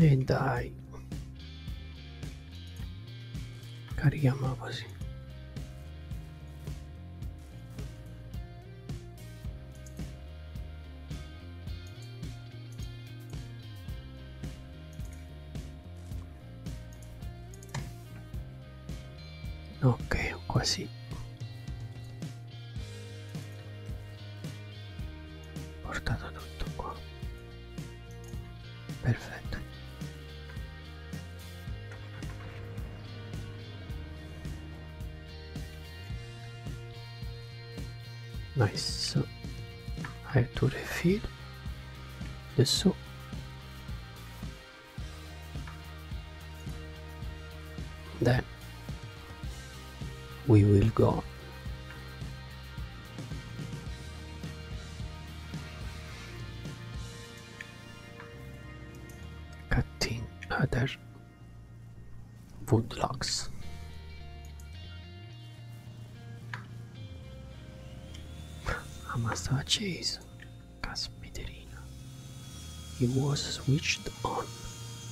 E dai. Carichiamola così. Ok, quasi portato tutto qua perfetto nice I have to refill the soup then we will go Cutting other wood logs. Amasa He was switched on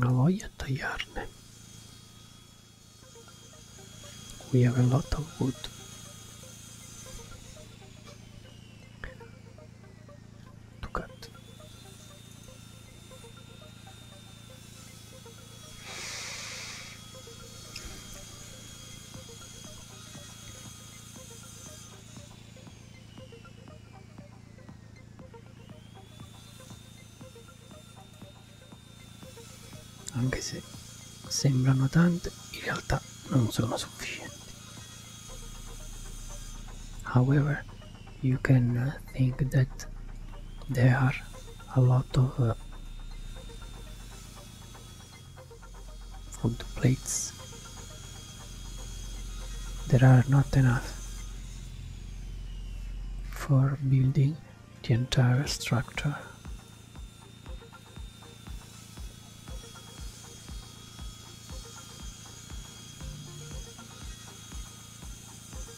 Aloja Tajarne. We have a lot of wood. To cut. anche se sembrano tante, in realtà non sono sufficienti. However, you can uh, think that there are a lot of uh, food plates there are not enough for building the entire structure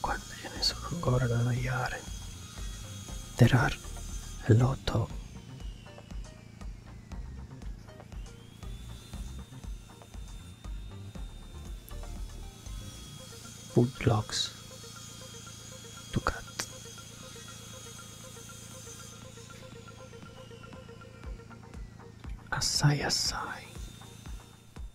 Quante ce ne sono ancora da annoiare? There are a lot of... Food logs to cut. Assai assai.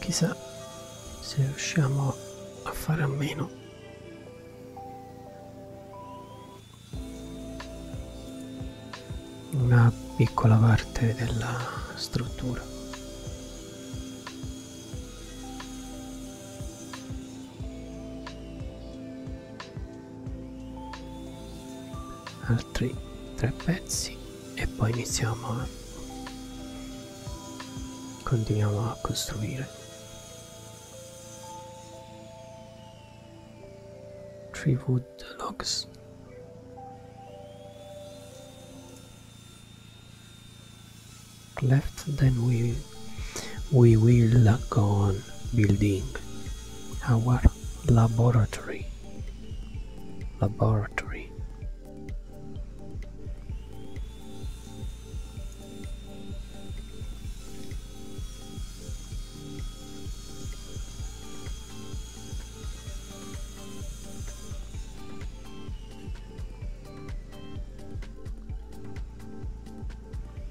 Chissà se riusciamo a fare a meno. Una piccola parte della struttura altri tre pezzi e poi iniziamo a eh. continuiamo a costruire tree wood logs left then we we will go on building our laboratory laboratory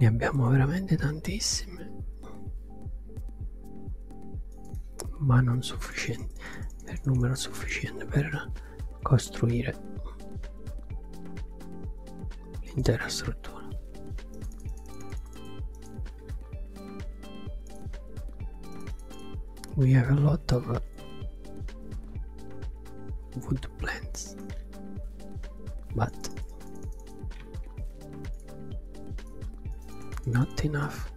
Ne abbiamo veramente tantissime, ma non sufficienti per numero sufficiente per costruire l'intera struttura. We have a lot of uh, wood plants, but not enough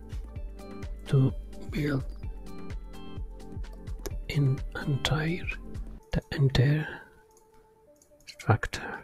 to build in entire the entire structure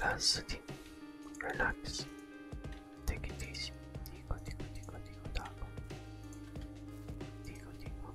Relax, relax. Take it easy. Tico, tico, tico, tico, taco. Tico, tico.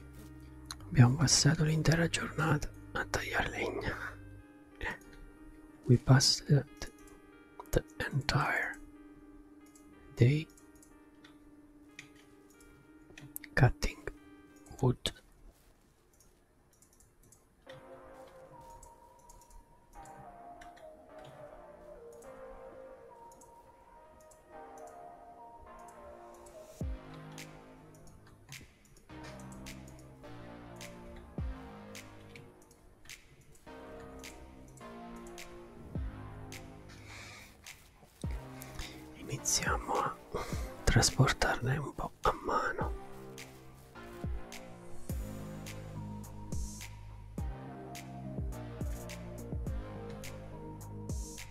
Abbiamo passato l'intera giornata a tagliare legna. We passed the entire day cutting wood. Iniziamo a trasportarne un po' a mano.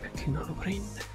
perché non lo prende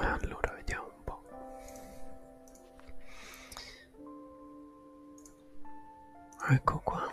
Allora, vediamo un po'. Ecco qua.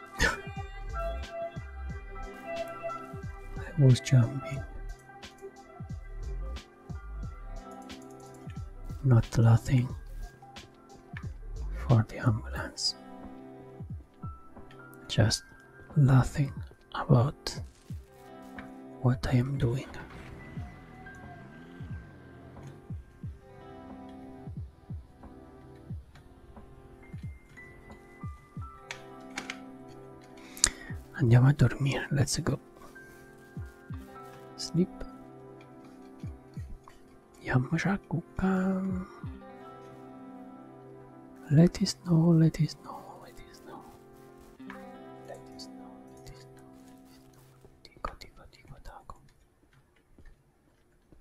I was jumping, not laughing for the ambulance, just laughing about what I am doing. Andiamo a dormire, let's go. Sleep. Yamashakukam. Let us know, let us know, let us know. Let us know, let us know, let us know. Tico, tico, tico, taco.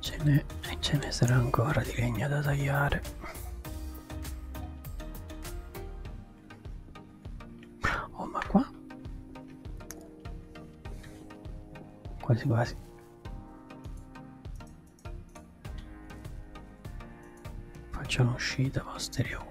ce ne, ce ne sarà ancora di legna da tagliare oh ma qua quasi quasi faccio un'uscita posteriore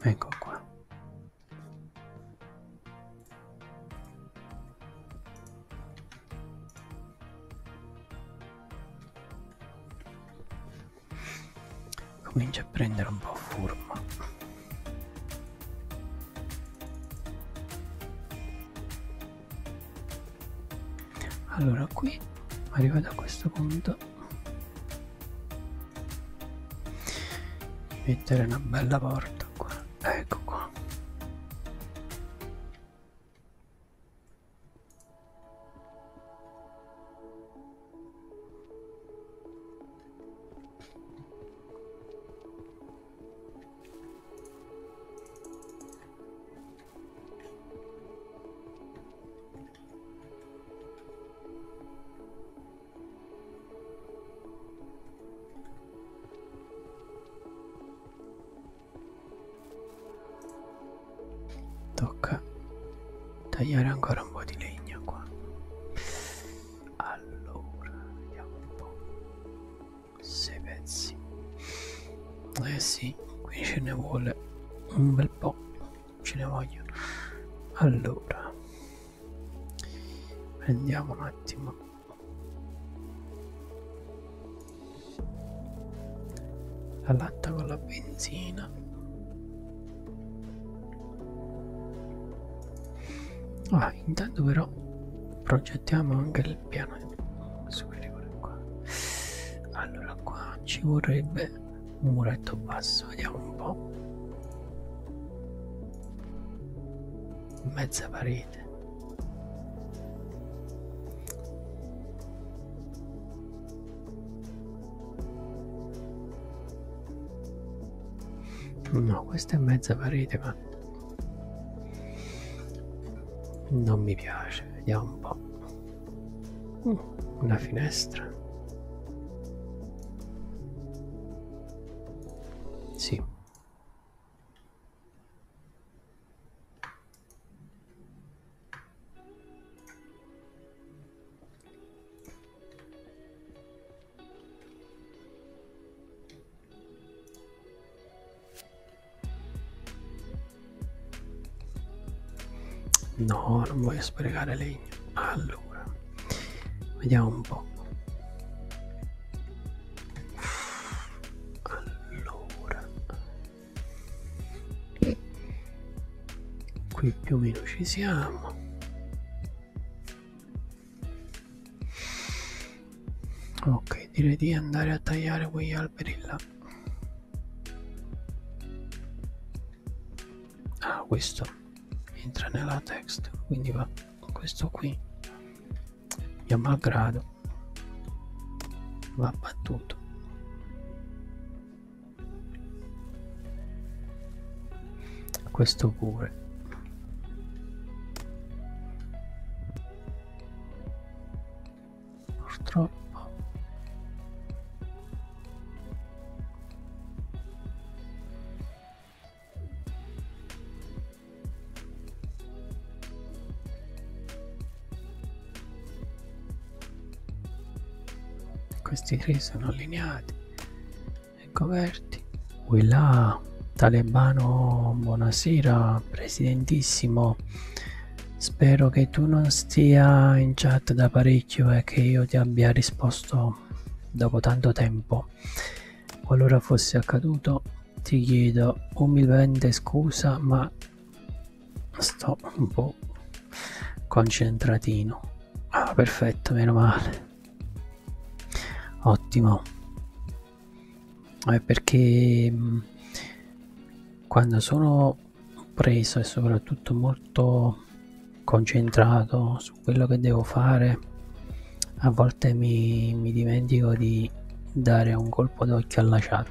Ecco qua. Comincia a prendere un po' forma allora qui arrivato a questo punto mettere una bella porta qua ecco qua Tocca tagliare ancora un po' di legno qua. Allora, vediamo un po' sei pezzi eh sì qui ce ne vuole un bel po ce ne vogliono allora prendiamo un attimo la latta con la benzina ah intanto però progettiamo anche il piano qua. allora qua ci vorrebbe un muretto basso vediamo un po' mezza parete no questa è mezza parete ma non mi piace, vediamo un po'. Uh, una finestra. Sì. No, non voglio sprecare legno. Allora, vediamo un po'. Allora, qui più o meno ci siamo ok direi di andare a tagliare quegli alberi là ah questo entra nella text quindi va questo qui mio malgrado va battuto questo pure purtroppo questi tre sono allineati ecco verso aperti. Quella talebano, buonasera, presidentissimo. Spero che tu non stia in chat da parecchio e che io ti abbia risposto dopo tanto tempo. Qualora fosse accaduto, ti chiedo umilmente scusa, ma sto un po' concentratino. Ah, perfetto, meno male. Ottimo eh, perché mh, mm, quando sono preso e soprattutto molto concentrato su quello che devo fare a volte mi, mi dimentico di dare un colpo d'occhio alla chat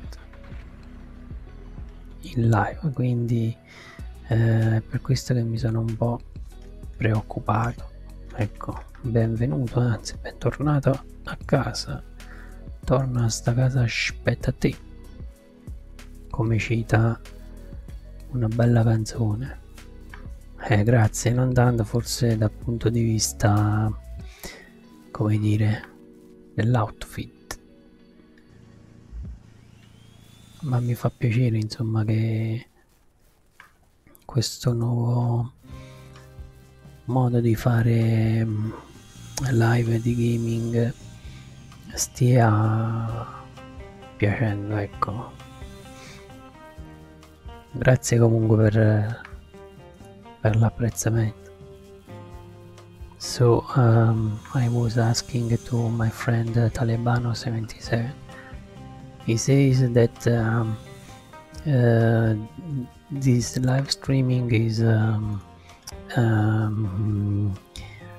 in live quindi eh, per questo che mi sono un po' preoccupato ecco benvenuto, anzi bentornato a casa, torna a sta casa, aspetta te, come cita una bella canzone. Eh, grazie, non tanto forse dal punto di vista, come dire, dell'outfit, ma mi fa piacere insomma che questo nuovo modo di fare mm, live di gaming stia piacendo ecco grazie comunque per, per l'apprezzamento so um, I was asking to my friend uh, Talebano77 he says that um, Uh, this live streaming is um, um,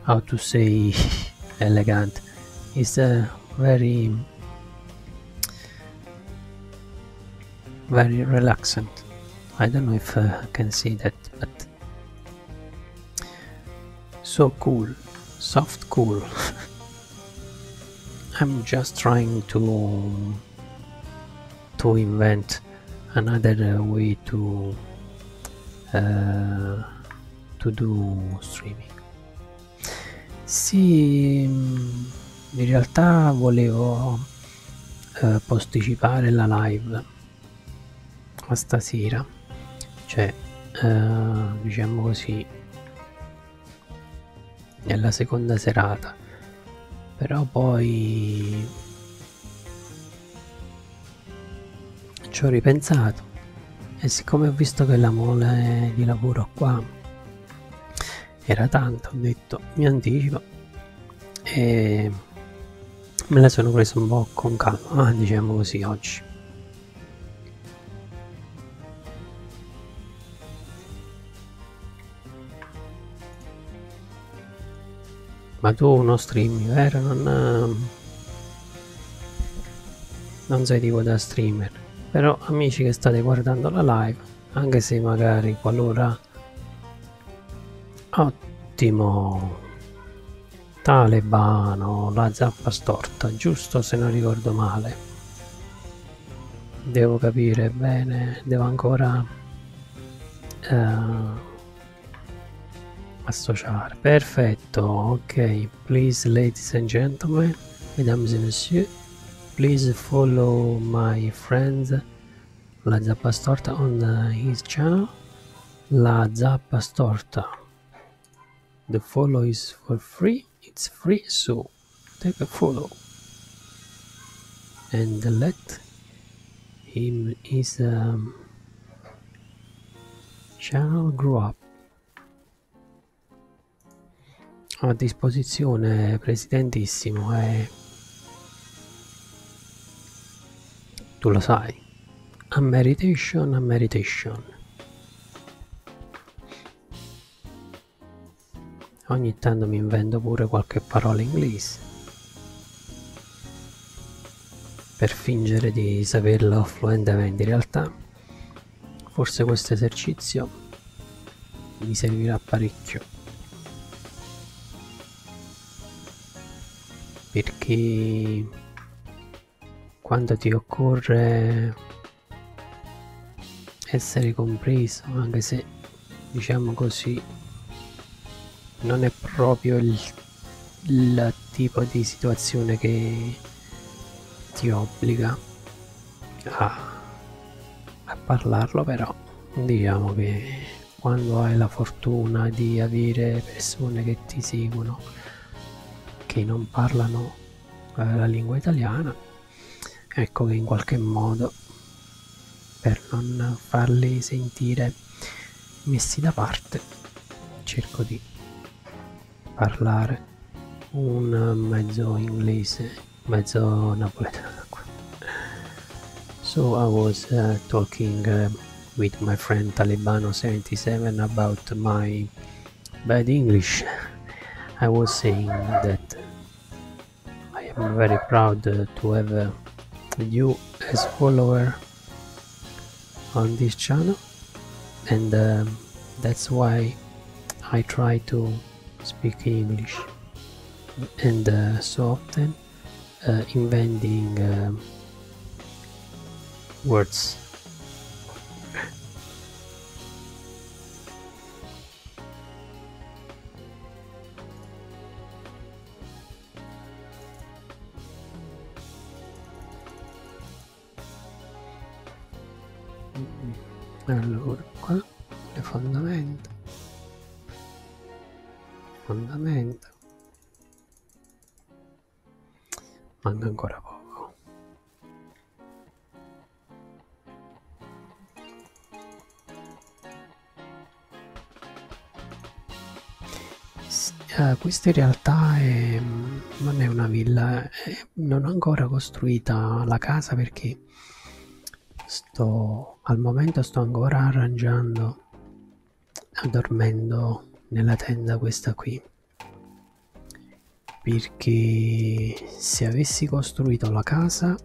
how to say elegant it's a very very relaxant I don't know if uh, I can see that but so cool soft cool I'm just trying to to invent another way to uh, to do streaming sì in realtà volevo uh, posticipare la live a stasera cioè uh, diciamo così nella seconda serata però poi ci ho ripensato e siccome ho visto che la mole di lavoro qua era tanta ho detto mi anticipo e me la sono presa un po' con calma ah, diciamo così oggi ma tu uno stream, vero? Non, ehm, non sei tipo da streamer. Però amici che state guardando la live, anche se magari qualora... Ottimo! Talebano, la zappa storta, giusto se non ricordo male devo capire bene, devo ancora uh, associare. Perfetto, ok. Please, ladies and gentlemen, mesdames et messieurs, please follow my friends La Zappa Storta on the, his channel. La Zappa Storta. The follow is for free it's free so take a photo and let him is um, channel grow up a disposizione presidentissimo e eh. tu lo sai a meditation a meditation Ogni tanto mi invento pure qualche parola inglese per fingere di saperlo fluentemente in realtà forse questo esercizio mi servirà parecchio perché quando ti occorre essere compreso anche se diciamo così non è proprio il, il tipo di situazione che ti obbliga a, a parlarlo però diciamo che quando hai la fortuna di avere persone che ti seguono che non parlano la lingua italiana ecco che in qualche modo per non farli sentire messi da parte cerco di parlare un mezzo inglese mezzo napoletano ecco. so I was uh, talking uh, with my friend Talibano 77 about my bad English I was saying that I am very proud to have uh, you as follower on this channel and um, that's why I try to speak English and uh, so often uh, inventing um, words allora qua le fondamenta fondamenta manca ancora poco S eh, questa in realtà è, non è una villa, è, eh, non ho ancora costruita la casa perché sto al momento sto ancora arrangiando, dormendo nella tenda questa qui perché se avessi costruito la casa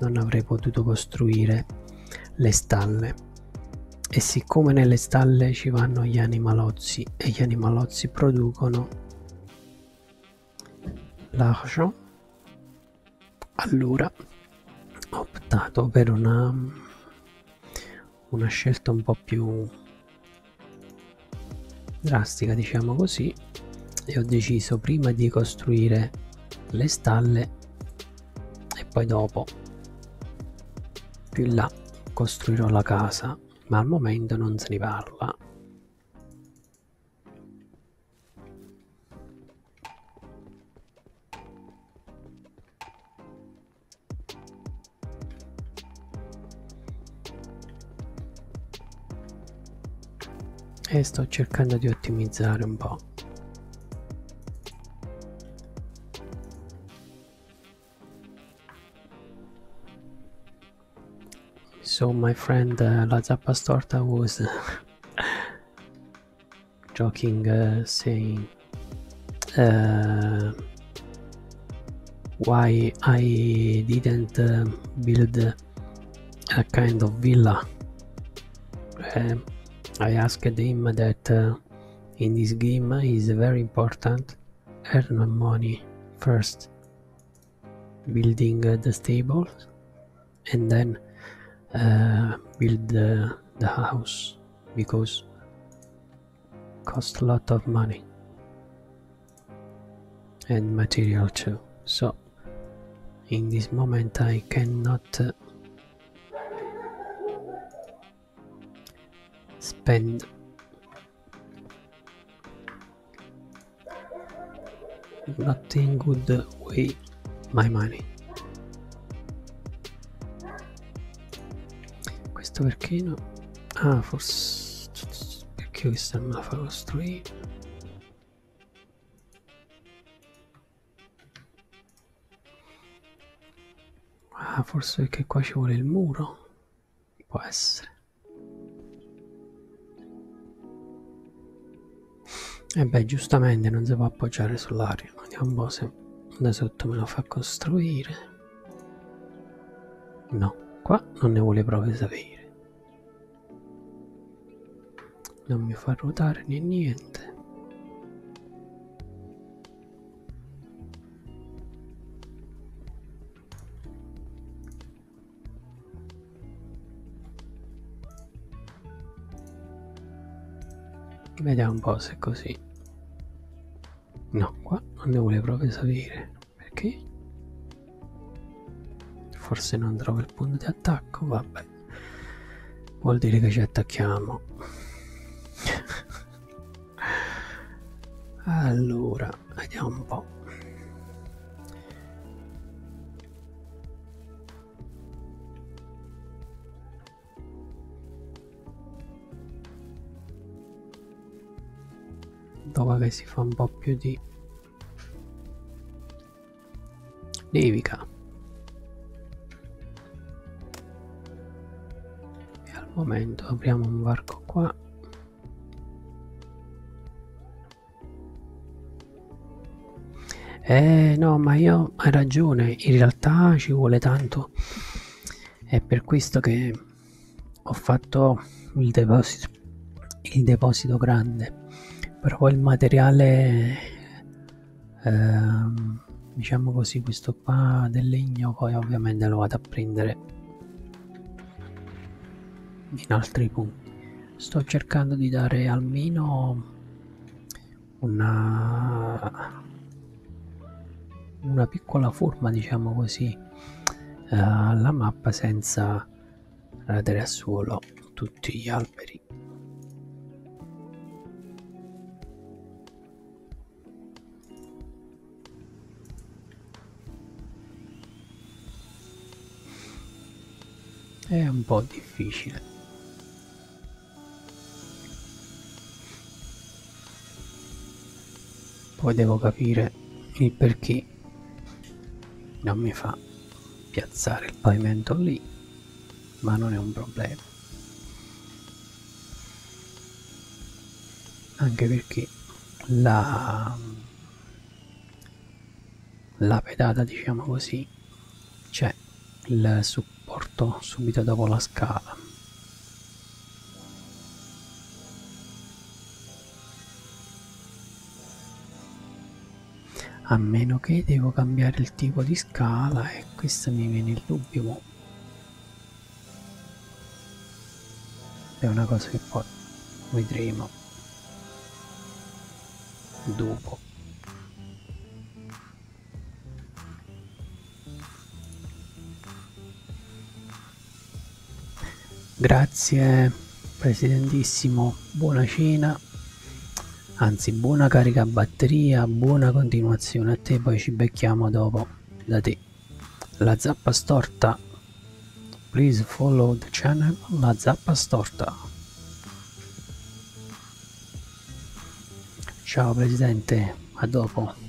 non avrei potuto costruire le stalle e siccome nelle stalle ci vanno gli animalozzi e gli animalozzi producono l'argent allora ho optato per una, una scelta un po' più drastica diciamo così e ho deciso prima di costruire le stalle e poi dopo più in là costruirò la casa ma al momento non se ne parla e sto cercando di ottimizzare un po' so my friend uh, la zappa storta was joking uh, saying uh, why I didn't uh, build a kind of villa. Um, I asked him that uh, in this game is very important earn money first, building uh, the stable, and then uh, build the house because cost a lot of money and material too. So in this moment I cannot spend but in good way my money questo perché no ah forse perché questa non la fa costruire Ah, forse perché qua ci vuole il muro. Può essere. E eh beh, giustamente non si può appoggiare sull'aria. Vediamo un po' se da sotto me lo fa costruire. No, qua non ne vuole proprio sapere non mi fa ruotare né niente Vediamo un po' se è così. No, qua non ne vuole proprio salire. Perché? Forse non trovo il punto di attacco, vabbè vuol dire che ci attacchiamo allora vediamo un po' dopo che si fa un po' più di nevica e al momento apriamo un varco qua eh no ma io hai ragione in realtà ci vuole tanto è per questo che ho fatto il deposito il deposito grande però il materiale ehm, diciamo così questo qua del legno poi ovviamente lo vado a prendere in altri punti sto cercando di dare almeno una, una piccola forma diciamo così eh, alla mappa senza radere a suolo tutti gli alberi. È un po' difficile. Poi devo capire il perché non mi fa piazzare il pavimento lì ma non è un problema anche perché la, la pedata diciamo così c'è cioè il supporto subito dopo la scala a meno che devo cambiare il tipo di scala e questo mi viene il dubbio mo. è una cosa che poi vedremo dopo grazie presidentissimo buona cena anzi buona carica a batteria buona continuazione a te poi ci becchiamo dopo da te la zappa storta please follow the channel la zappa storta ciao presidente a dopo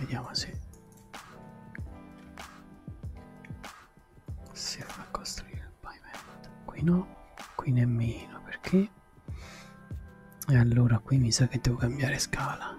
Vediamo se si fa costruire il pavimento. Qui no, qui nemmeno perché e allora qui mi sa che devo cambiare scala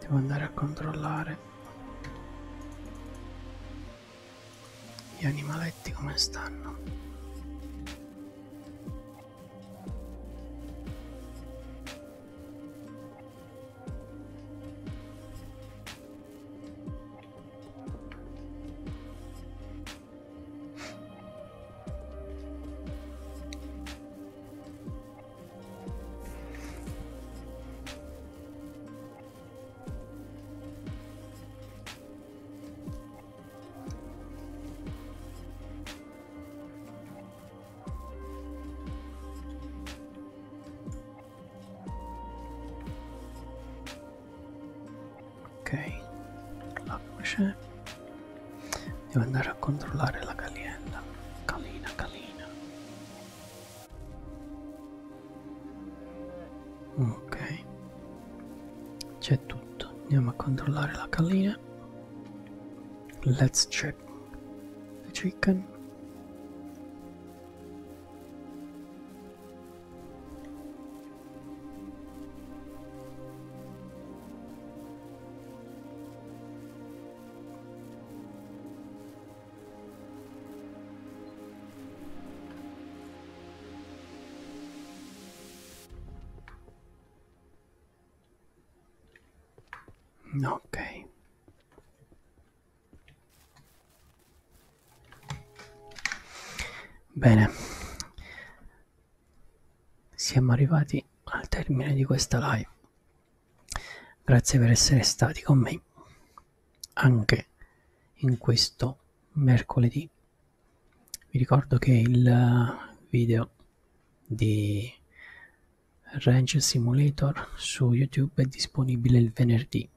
Devo andare a controllare gli animaletti come stanno Ok, la voce. Devo andare a controllare la gallina. Calina, calina ok c'è tutto andiamo a controllare la gallina let's check the chicken Ok. Bene. Siamo arrivati al termine di questa live. Grazie per essere stati con me anche in questo mercoledì. Vi ricordo che il video di Range Simulator su YouTube è disponibile il venerdì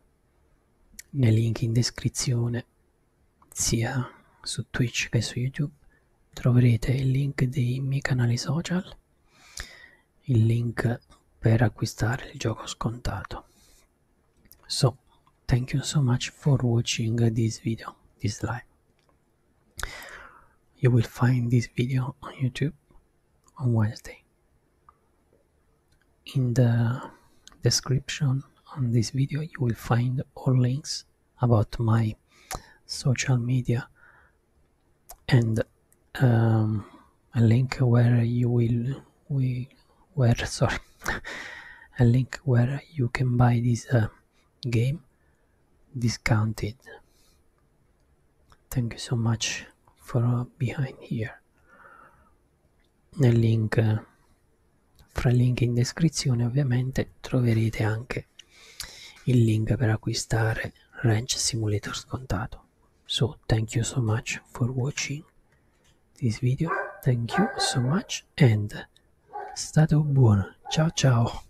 nei link in descrizione sia su Twitch che su YouTube troverete il link dei miei canali social il link per acquistare il gioco scontato so thank you so much for watching uh, this video this live you will find this video on youtube on wednesday in the description on this video you will find all links about my social media and um, a link where you will we where sorry a link where you can buy this uh, game discounted thank you so much for uh, behind here nel link uh, fra il link in descrizione ovviamente troverete anche il link per acquistare Ranch Simulator scontato so thank you so much for watching this video thank you so much and stato buono ciao ciao